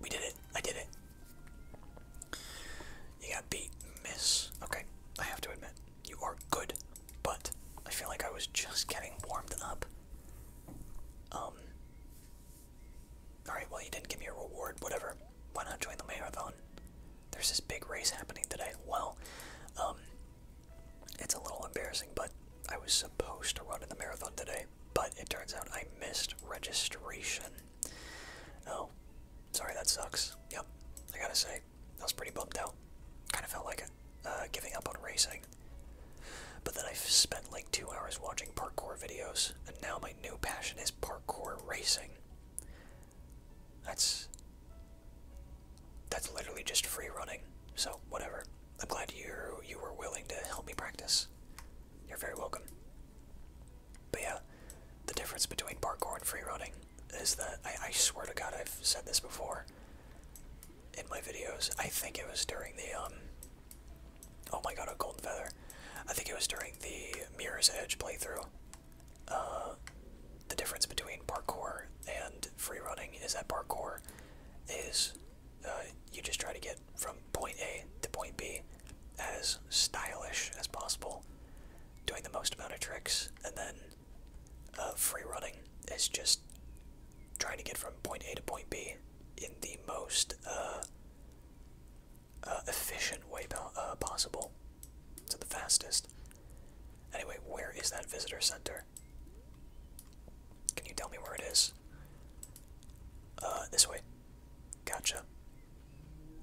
We did it. I did it. You got beat. Miss. Okay, I have to admit, you are good, but I feel like I was just getting warmed up. Um. Alright, well, you didn't give me a reward, whatever why not join the marathon? There's this big race happening today. Well, um, it's a little embarrassing, but I was supposed to run in the marathon today, but it turns out I missed registration. Oh, sorry, that sucks. Yep, I gotta say, I was pretty bummed out. Kind of felt like uh, giving up on racing. But then I spent like two hours watching parkour videos, and now my new passion is parkour racing. That's that's literally just free running. So whatever. I'm glad you you were willing to help me practice. You're very welcome. But yeah, the difference between parkour and free running is that I, swear to God I've said this before in my videos. I think it was during the um, Oh my God, a golden feather. I think it was during the Mirror's Edge playthrough. Uh, the difference between parkour and free running is that parkour is uh, you just try to get from point A to point B as stylish as possible, doing the most amount of tricks, and then uh, free running is just trying to get from point A to point B in the most uh, uh, efficient way uh, possible. To the fastest. Anyway, where is that visitor center? Can you tell me where it is? Uh, this way. Gotcha.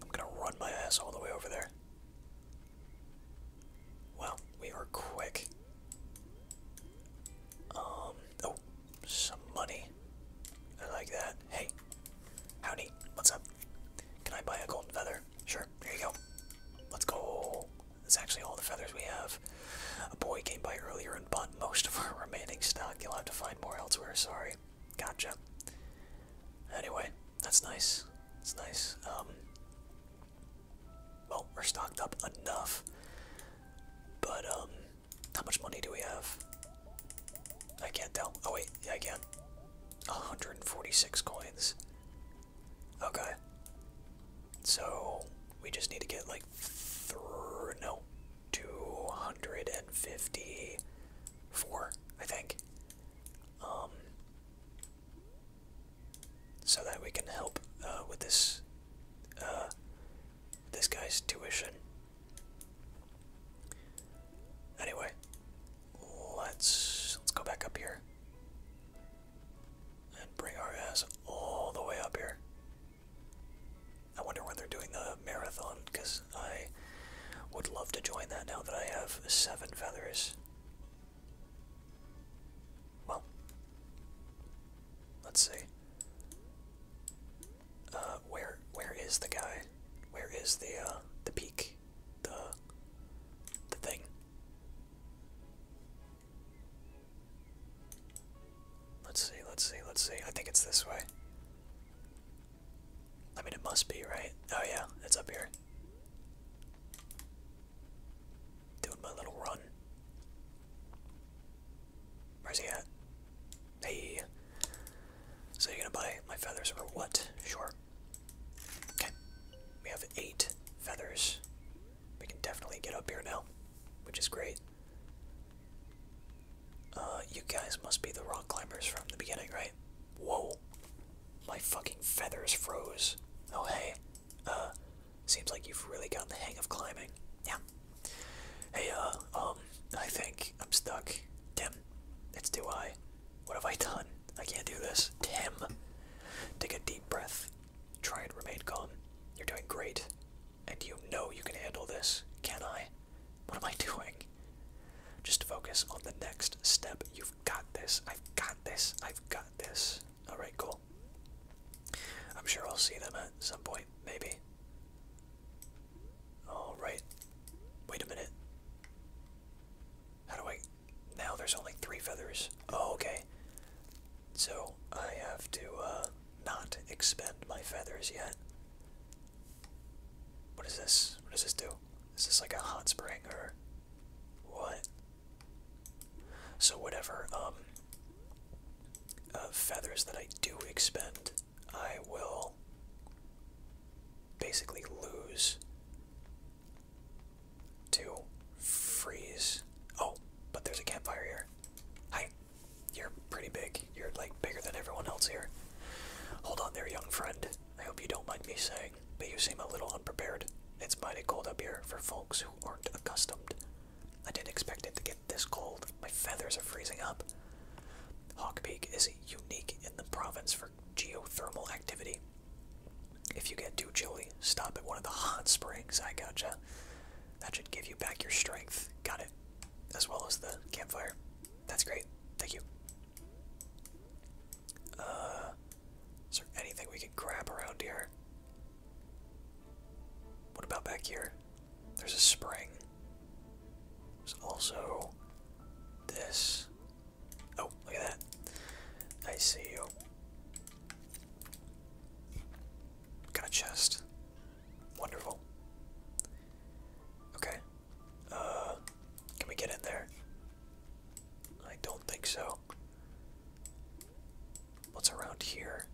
I'm gonna run my ass all the way over there. Wow, we are quick. Um, oh, some money. I like that. Hey, Howdy, what's up? Can I buy a golden feather? Sure, here you go. Let's go. That's actually all the feathers we have. A boy came by earlier and bought most of our remaining stock. You'll have to find more elsewhere, sorry. Gotcha. Anyway, that's nice. It's nice. Um, well, we're stocked up enough. But, um, how much money do we have? I can't tell. Oh, wait, yeah, I can. 146 coins. Okay. So we just need to get like through no 254, I think. Um so that we can help uh, with this uh this guy's tuition. Anyway, let's let's go back up here and bring our ass all the way up here. I wonder when they're doing the marathon because I would love to join that now that I have seven feathers. Well, let's see. Uh, where where is the guy? Where is the uh, the peak? the the thing. Let's see, let's see, let's see. I think it's this way. I mean, it must be, right? Oh, yeah, it's up here. Doing my little run. Where's he at? Hey. So you're gonna buy my feathers or what? Sure. Okay. We have eight feathers. We can definitely get up here now, which is great. Uh, you guys must be the rock climbers from the beginning, right? Whoa. My fucking feathers froze. Oh, hey. Uh, seems like you've really gotten the hang of climbing. Yeah. Hey, uh, um, I think I'm stuck. Damn, it's do I. What have I done? I can't do this. Tim, take a deep breath. Try and remain calm. You're doing great. And you know you can handle this. Can I? What am I doing? Just focus on the next step. You've got this. I've got this. I've got this. Alright, cool. I'm sure I'll see them at some point, maybe. Alright. Wait a minute. How do I. Now there's only three feathers. Oh, okay. So I have to uh, not expend my feathers yet. What is this? What does this do? Is this like a hot spring or. What? So whatever um, uh, feathers that I do expend, I will basically lose to freeze. Oh, but there's a campfire here. Hi, you're pretty big. You're like bigger than everyone else here. Hold on there, young friend. I hope you don't mind me saying, but you seem a little unprepared. It's mighty cold up here for folks who aren't accustomed. I didn't expect it to get this cold. My feathers are freezing up. Hawk Peak is unique in the province for geothermal activity. If you get too chilly, stop at one of the hot springs. I gotcha. That should give you back your strength. Got it. As well as the campfire. That's great. Thank you. Uh, is there anything we can grab around here? What about back here? There's a spring. There's also this. Oh, look at that. I see you. Got a chest. Wonderful. Okay. Uh, can we get in there? I don't think so. What's around here?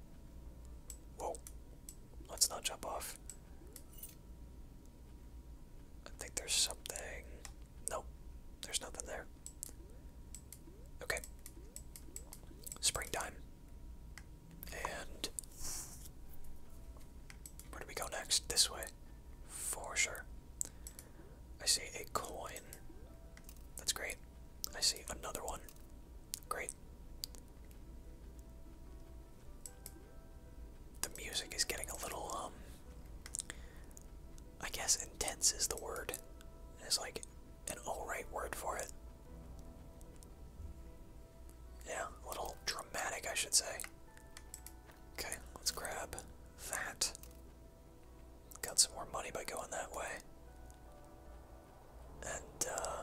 Whoa. Let's not jump off. I think there's something. Nope, there's nothing there. Okay. Springtime. And. Where do we go next? This way. For sure. I see a coin. That's great. I see another one. Great the music is getting a little um, I guess intense is the word. It's like an alright word for it. Yeah, a little dramatic I should say. Okay, let's grab that. Got some more money by going that way. And uh,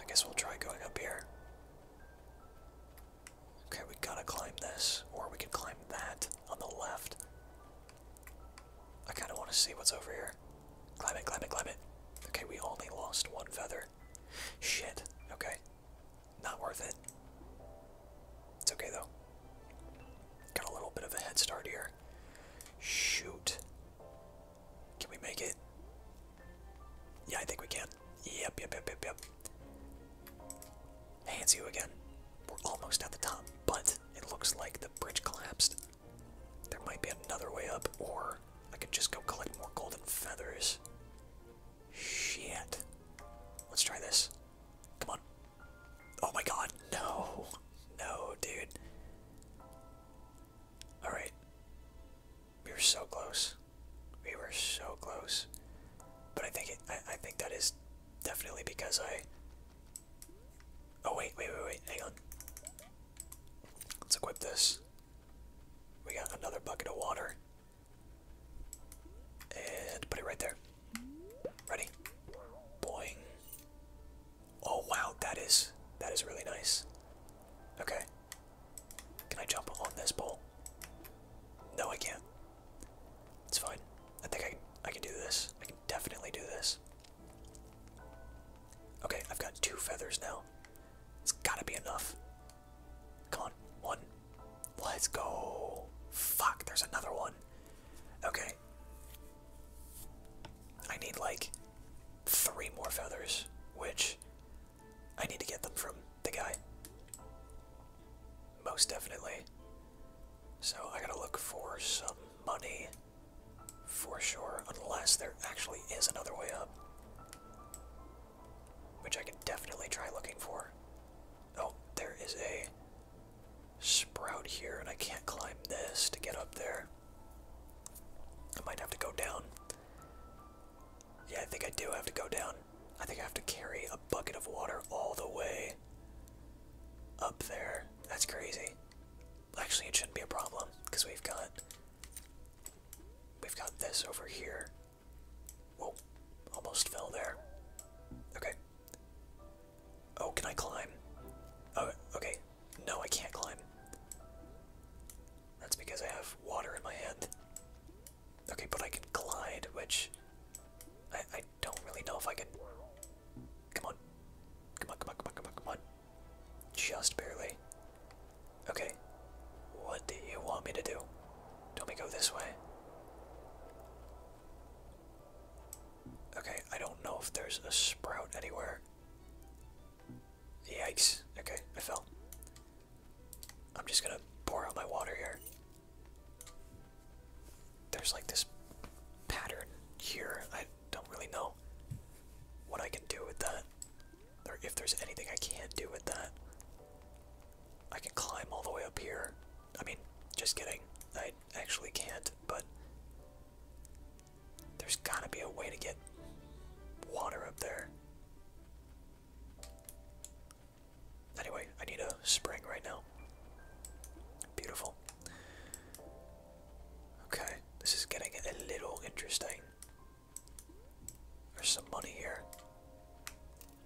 I guess we'll try going up here. Okay, we gotta climb this, or we can climb that on the left. I kinda wanna see what's over here. Climb it, climb it, climb it. Okay, we only lost one feather. Shit, okay. Not worth it. It's okay though. Got a little bit of a head start here. Shoot. Can we make it? Yeah, I think we can. Yep, yep, yep, yep, yep. Hands you again. We're almost at the top, but it looks like the bridge collapsed. There might be another way up, or I could just go collect more golden feathers. Shit. Let's try this. Come on. Oh my god, no. No, dude. Alright. We were so close. We were so close. But I think it, I think that is definitely because I. Oh wait, wait, wait, wait! Hang on. Let's equip this. We got another bucket of water. And put it right there. Ready? Boing. Oh wow, that is that is really nice. Okay. Can I jump on this pole? No, I can't. It's fine. I think I I can do this. I can definitely do this. Okay, I've got two feathers now. It's gotta be enough. Come on, one. Let's go. Fuck, there's another one. Okay. I need like three more feathers, which I need to get them from the guy. Most definitely. So I gotta look for some money for sure, unless there actually is another way up. Which I can definitely try looking for. Oh, there is a sprout here, and I can't climb this to get up there. I might have to go down. Yeah, I think I do have to go down. I think I have to carry a bucket of water all the way up there. That's crazy. Actually, it shouldn't be a problem because we've got we've got this over here. Whoa! Almost fell there. Okay. Oh, can I climb? Oh, okay. No, I can't climb. That's because I have water in my hand. Okay, but I can glide, which I, I don't really know if I can. Come on. Come on, come on, come on, come on, come on. Just barely. Okay. What do you want me to do? Don't we go this way? Okay, I don't know if there's a sprout anywhere. Yikes. Okay, I fell. I'm just gonna pour out my water here. There's like this pattern here. I don't really know what I can do with that. Or if there's anything I can not do with that. I can climb all the way up here. I mean, just kidding. I actually can't, but there's gotta be a way to get water up there. Anyway, I need a spring right now. Beautiful. Okay, this is getting a little interesting. There's some money here.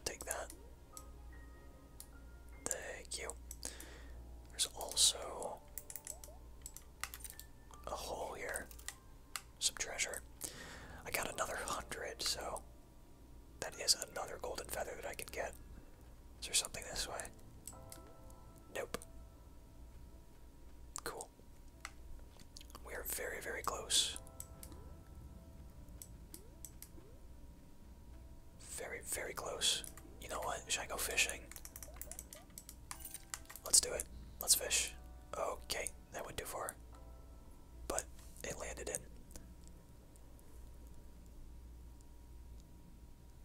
Take that. Thank you. There's also a hole here. Some treasure. I got another hundred, so that is another golden feather that I can get. Is there something this way? Nope. Cool. We are very, very close. Very, very close. You know what? Should I go fishing? Let's do it. Let's fish. Okay, that went too far. But it landed in.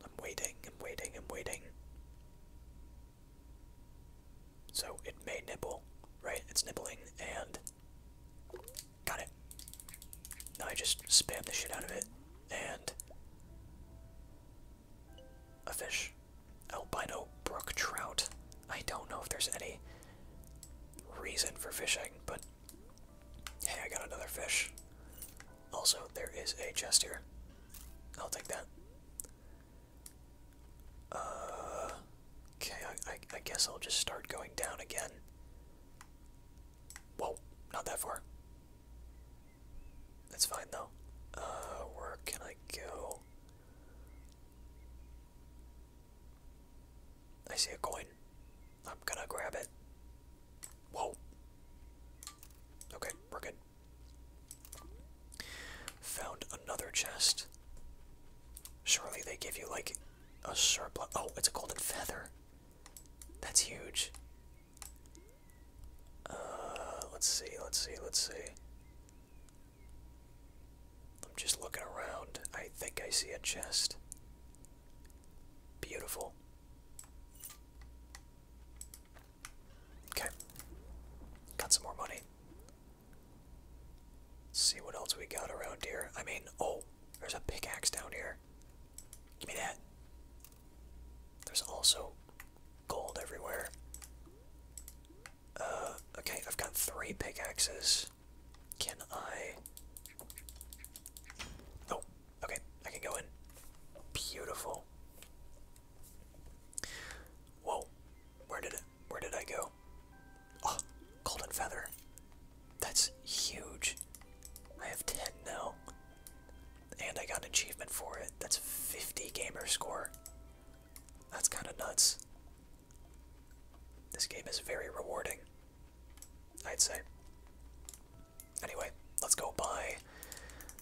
I'm waiting, I'm waiting, I'm waiting. So it may nibble, right? It's nibbling and. Got it. I just spam the shit out of it and. A fish. Albino brook trout. I don't know if there's any reason for fishing, but Hey, I got another fish. Also, there is a chest here. I'll take that. Uh, okay, I, I, guess I'll just start going down again. Whoa, not that far. That's fine though. Uh, where can I go? I see a coin. I'm gonna grab it. Whoa. Okay, we're good. Found another chest. Surely they give you like a surplus. Oh, it's a golden feather. That's huge. Uh, let's see, let's see, let's see. I'm just looking around. I think I see a chest. Beautiful. Okay. Got some more money. see what else we got around here. I mean, oh, there's a pickaxe down here. Give me that. There's also gold everywhere. Uh, okay, I've got three pickaxes. Can I? Oh, okay. I can go in. Beautiful. Whoa, where did it? Where did I go? Oh, golden feather. That's huge. I have ten now, and I got an achievement for it. That's fifty gamer score. That's kind of nuts. This game is very rewarding. I'd say. Anyway, let's go buy.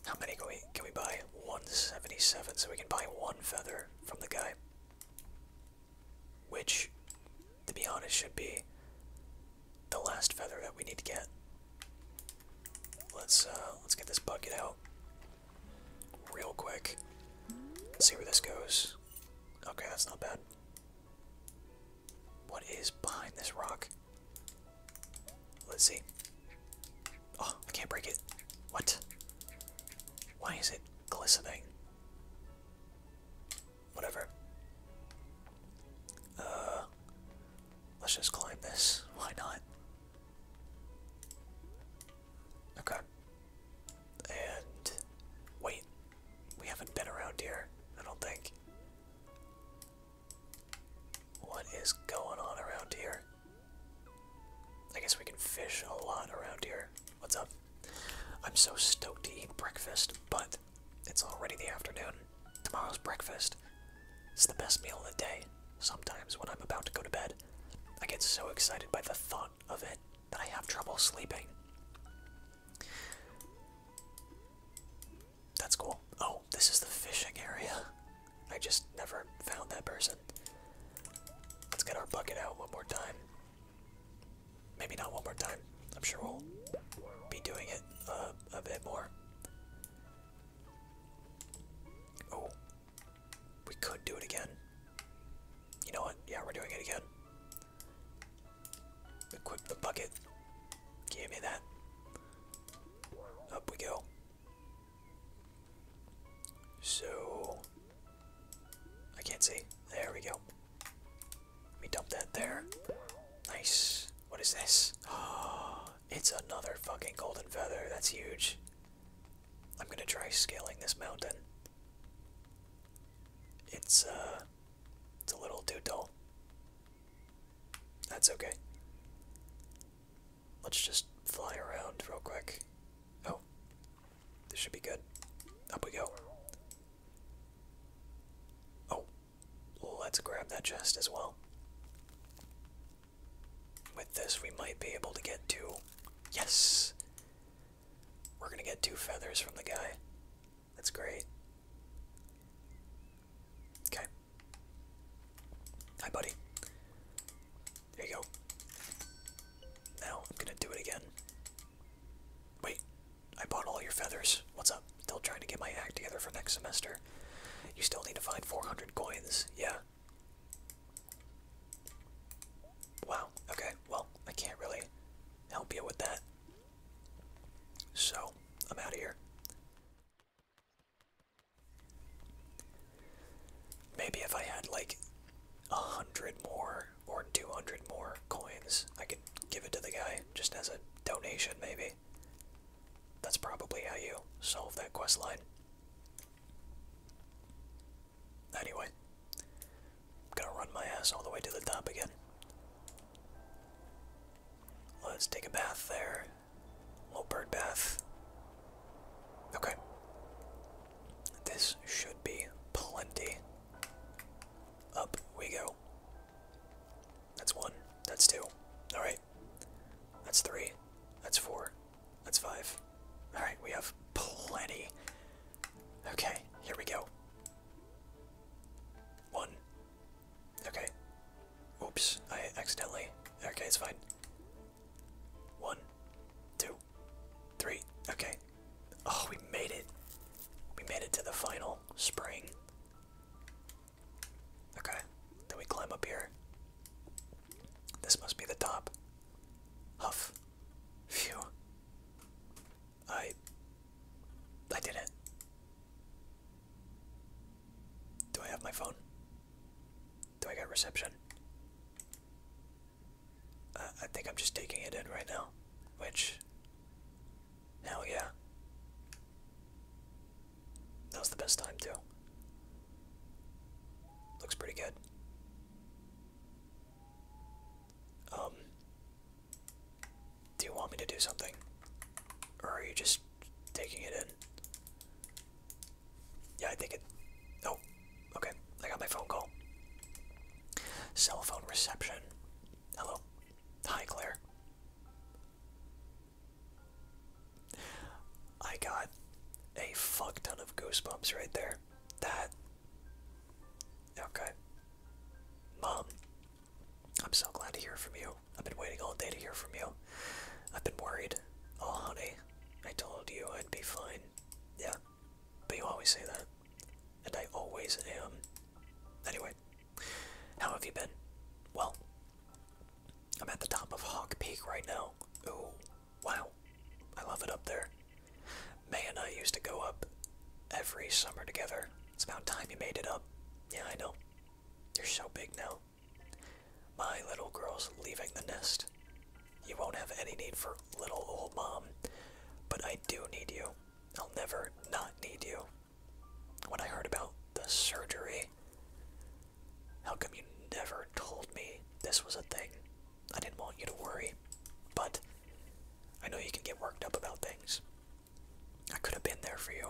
How many can we can we buy? 177, so we can buy one feather from the guy. Which, to be honest, should be the last feather that we need to get. Let's uh, let's get this bucket out real quick. see where this goes. Okay, that's not bad. What is behind this rock? Let's see. Oh, I can't break it. What? Why is it glistening? Whatever. Uh, let's just climb this. Why not? Okay. And wait, we haven't been around here, I don't think. What is going on around here? I guess we can fish a lot around here. What's up? I'm so stoked to eat breakfast, but it's already the afternoon. Tomorrow's breakfast. It's the best meal of the day. Sometimes when I'm about to go to bed, I get so excited by the thought of it that I have trouble sleeping. That's cool. Oh, this is the fishing area. I just never found that person. Let's get our bucket out one more time. Maybe not one more time. I'm sure we'll be doing it uh, a bit more. Oh, we could do it again. You know what? Yeah, we're doing it again. Equip the bucket. Give me that. Up we go. So I can't see. There we go. Let me dump that there. Nice. What is this? Oh, it's another fucking golden feather. That's huge. I'm gonna try scaling this mountain. It's uh it's a little too dull. That's okay. Let's just fly around real quick. Oh, this should be good. Up we go. Oh, let's grab that chest as well. With this, we might be able to get two. Yes! We're gonna get two feathers from the guy. That's great. Okay. Hi, buddy. There you go. Now I'm gonna do it again. Wait, I bought all your feathers. What's up? Still trying to get my act together for next semester. You still need to find 400 coins. Yeah. Wow. Okay. Well, I can't really help you with that. So, I'm out of here. Maybe if I had like a hundred more or 200 more coins, I could give it to the guy just as a donation, maybe. That's probably how you solve that quest line. Anyway, I'm gonna run my ass all the way to the top again. Let's take a bath there. little bird bath. Okay. This should be plenty. Up we go. That's one. That's two. Alright. That's three. That's four. That's five. Alright, we have plenty. Okay, here we go. One. Okay. Oops, I accidentally. Okay, it's fine. One, two, three. Okay. Oh, we made it. We made it to the final spring. Okay, then we climb up here. This must be the top. Huff. Phew. I I did it. Do I have my phone? Do I got reception? Uh, I think I'm just taking it in right now, which, hell yeah. That was the best time too. Looks pretty good. Um, do you want me to do something? Or are you just taking it in? Yeah, I think it. Oh, okay. I got my phone call. Cell phone reception. Hello. Hi, Claire. I got a fuck ton of goosebumps right there. That. Okay. Mom, I'm so glad to hear from you. I've been waiting all day to hear from you. I've been worried. Oh, honey, I told you I'd be fine. Yeah, but you always say that. And I always am. Anyway, how have you been? Well, I'm at the top of Hawk Peak right now. Ooh, wow. I love it up there. May and I used to go up every summer together. It's about time you made it up. Yeah, I know. You're so big now. My little girl's leaving the nest. You won't have any need for little old mom, but I do need you. I'll never not need you. When I heard about the surgery, how come you never told me this was a thing? I didn't want you to worry, but I know you can get worked up about things. I could have been there for you.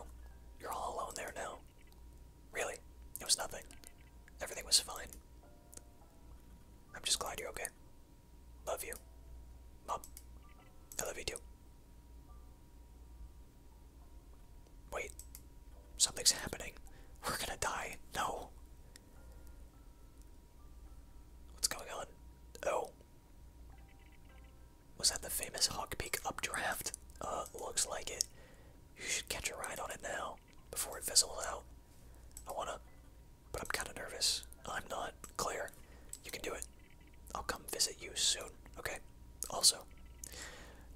You're all alone there now. Really, it was nothing. Everything was fine. I'm just glad you're okay. Love you. Mom, I love you too. Wait, something's happening. We're gonna die. No. What's going on? Oh. Was that the famous Hawk Peak updraft? Uh, looks like it. You should catch a ride on it now, before it fizzles out. I wanna, but I'm kinda nervous. I'm not. clear. you can do it. I'll come visit you soon, okay? Also,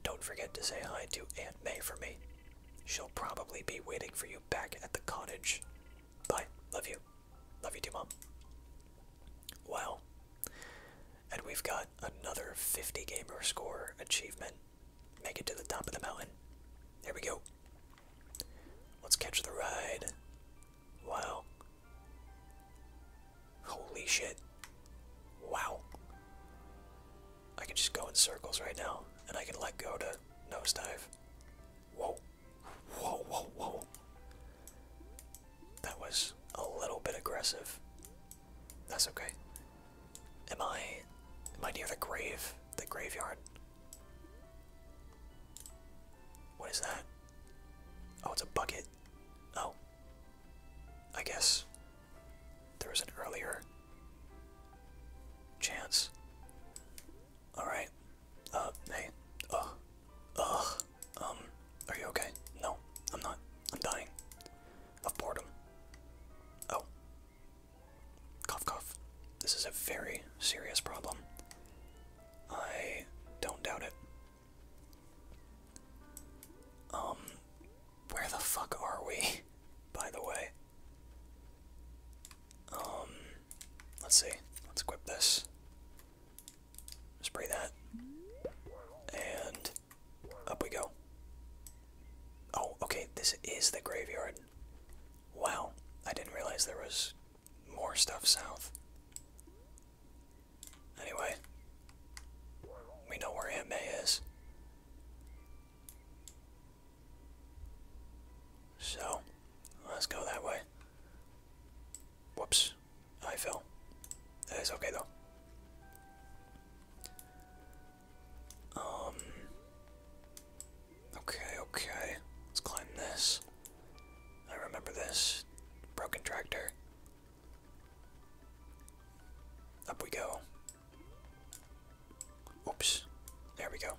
don't forget to say hi to Aunt May for me. She'll probably be waiting for you back at the cottage. Bye. Love you. Love you too, Mom. Wow. And we've got another 50 gamer score achievement. Make it to the top of the mountain. There we go. Let's catch the ride. Wow. Holy shit. Wow. I can just go in circles right now, and I can let go to nosedive. Whoa. Whoa, whoa, whoa. That was a little bit aggressive. That's okay. Am I am I near the grave? The graveyard? What is that? Oh, it's a bucket. Oh. I guess there was an earlier chance. Alright. Uh, hey. Oh, Ugh. Um, are you okay? No, I'm not. I'm dying. Of boredom. Oh. Cough, cough. This is a very serious problem. I don't doubt it. Um, where the fuck are we, by the way? Um, let's see. Let's equip this. Spray that. And up we go. Oh, okay, this is the graveyard. Wow, I didn't realize there was more stuff south. Anyway, we know where Aunt is. So, let's go that way. Whoops, I fell. It's okay though. Um. Okay, okay. Let's climb this. I remember this. Broken tractor. Up we go. Oops. There we go.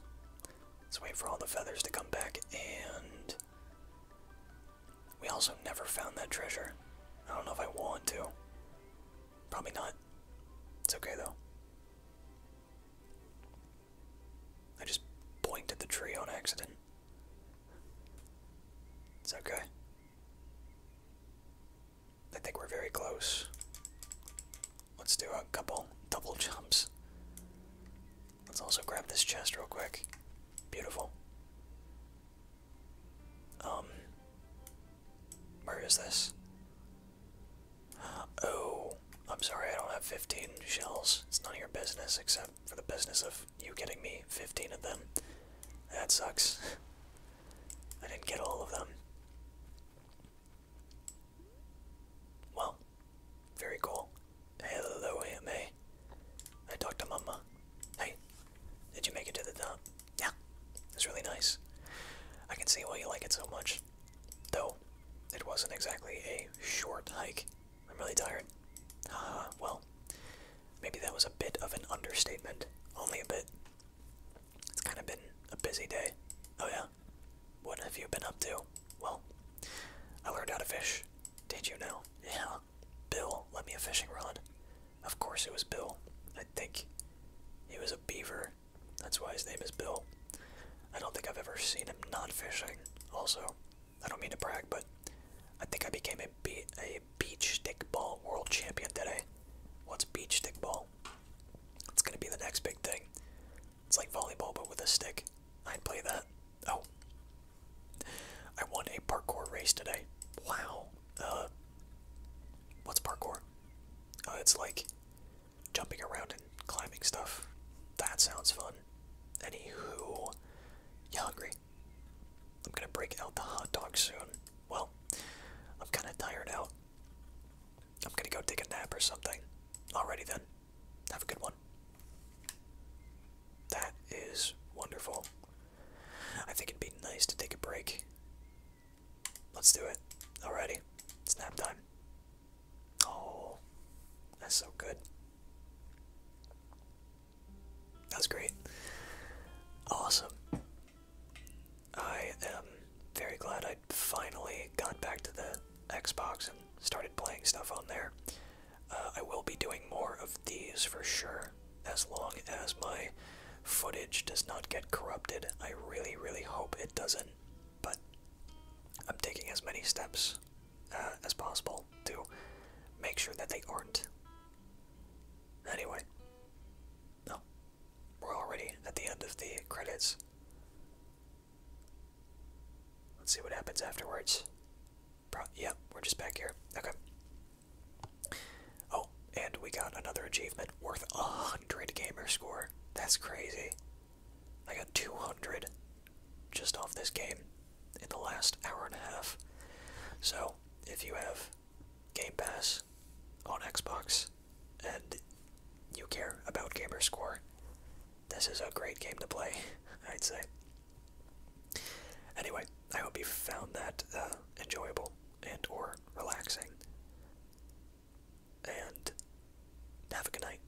Let's wait for all the feathers to come back and. We also never found that treasure. I don't know if I want to. Probably not. It's okay though. I just blinked at the tree on accident. It's okay. I think we're very close. Let's do a couple double jumps. Let's also grab this chest real quick. Beautiful. Um, where is this? Oh, I'm sorry, I don't have 15 shells. It's none of your business, except for the business of you getting me 15 of them. That sucks. I didn't get all of them. Well, very cool. Hello, Aunt May. I talked to Mama. Hey, did you make it to the top? Yeah, it's really nice. I can see why you like it so much. Though, it wasn't exactly a short hike. I'm really tired. Ah, well, maybe that was a bit of an understatement. Only a bit. It's kind of been a busy day. Oh, yeah? What have you been up to? Well, I learned how to fish. Did you know? Yeah, Bill, let me a fishing rod. Of course it was Bill. I think he was a beaver. That's why his name is Bill. I don't think I've ever seen him not fishing. Also, I don't mean to brag, but I think I became a, be a beach stickball world champion today. What's beach stick ball? It's gonna be the next big thing. It's like volleyball, but with a stick. I'd play that. Oh. I won a parkour race today. Wow. Uh, what's parkour? Uh, it's like jumping around and climbing stuff. That sounds fun. Anywho, you hungry? I'm gonna break out the hot dog soon. Well, I'm kinda tired out. I'm gonna go take a nap or something. Alrighty then. Have a good one. That is wonderful. I think it'd be nice to take a break. Let's do it. Alrighty. snap time. Oh, that's so good. That's great. Awesome. I am very glad I finally got back to the Xbox and started playing stuff on there. Uh, I will be doing more of these for sure, as long as my footage does not get corrupted. I really, really hope it doesn't, but I'm taking as many steps uh, as possible to make sure that they aren't. Anyway, no, we're already at the end of the credits. Let's see what happens afterwards yeah, we're just back here. Okay. Oh, and we got another achievement worth a hundred gamer score. That's crazy. I got 200 just off this game in the last hour and a half. So, if you have Game Pass on Xbox and you care about gamer score, this is a great game to play, I'd say. Anyway, I hope you found that uh, enjoyable and or relaxing. And have a good night.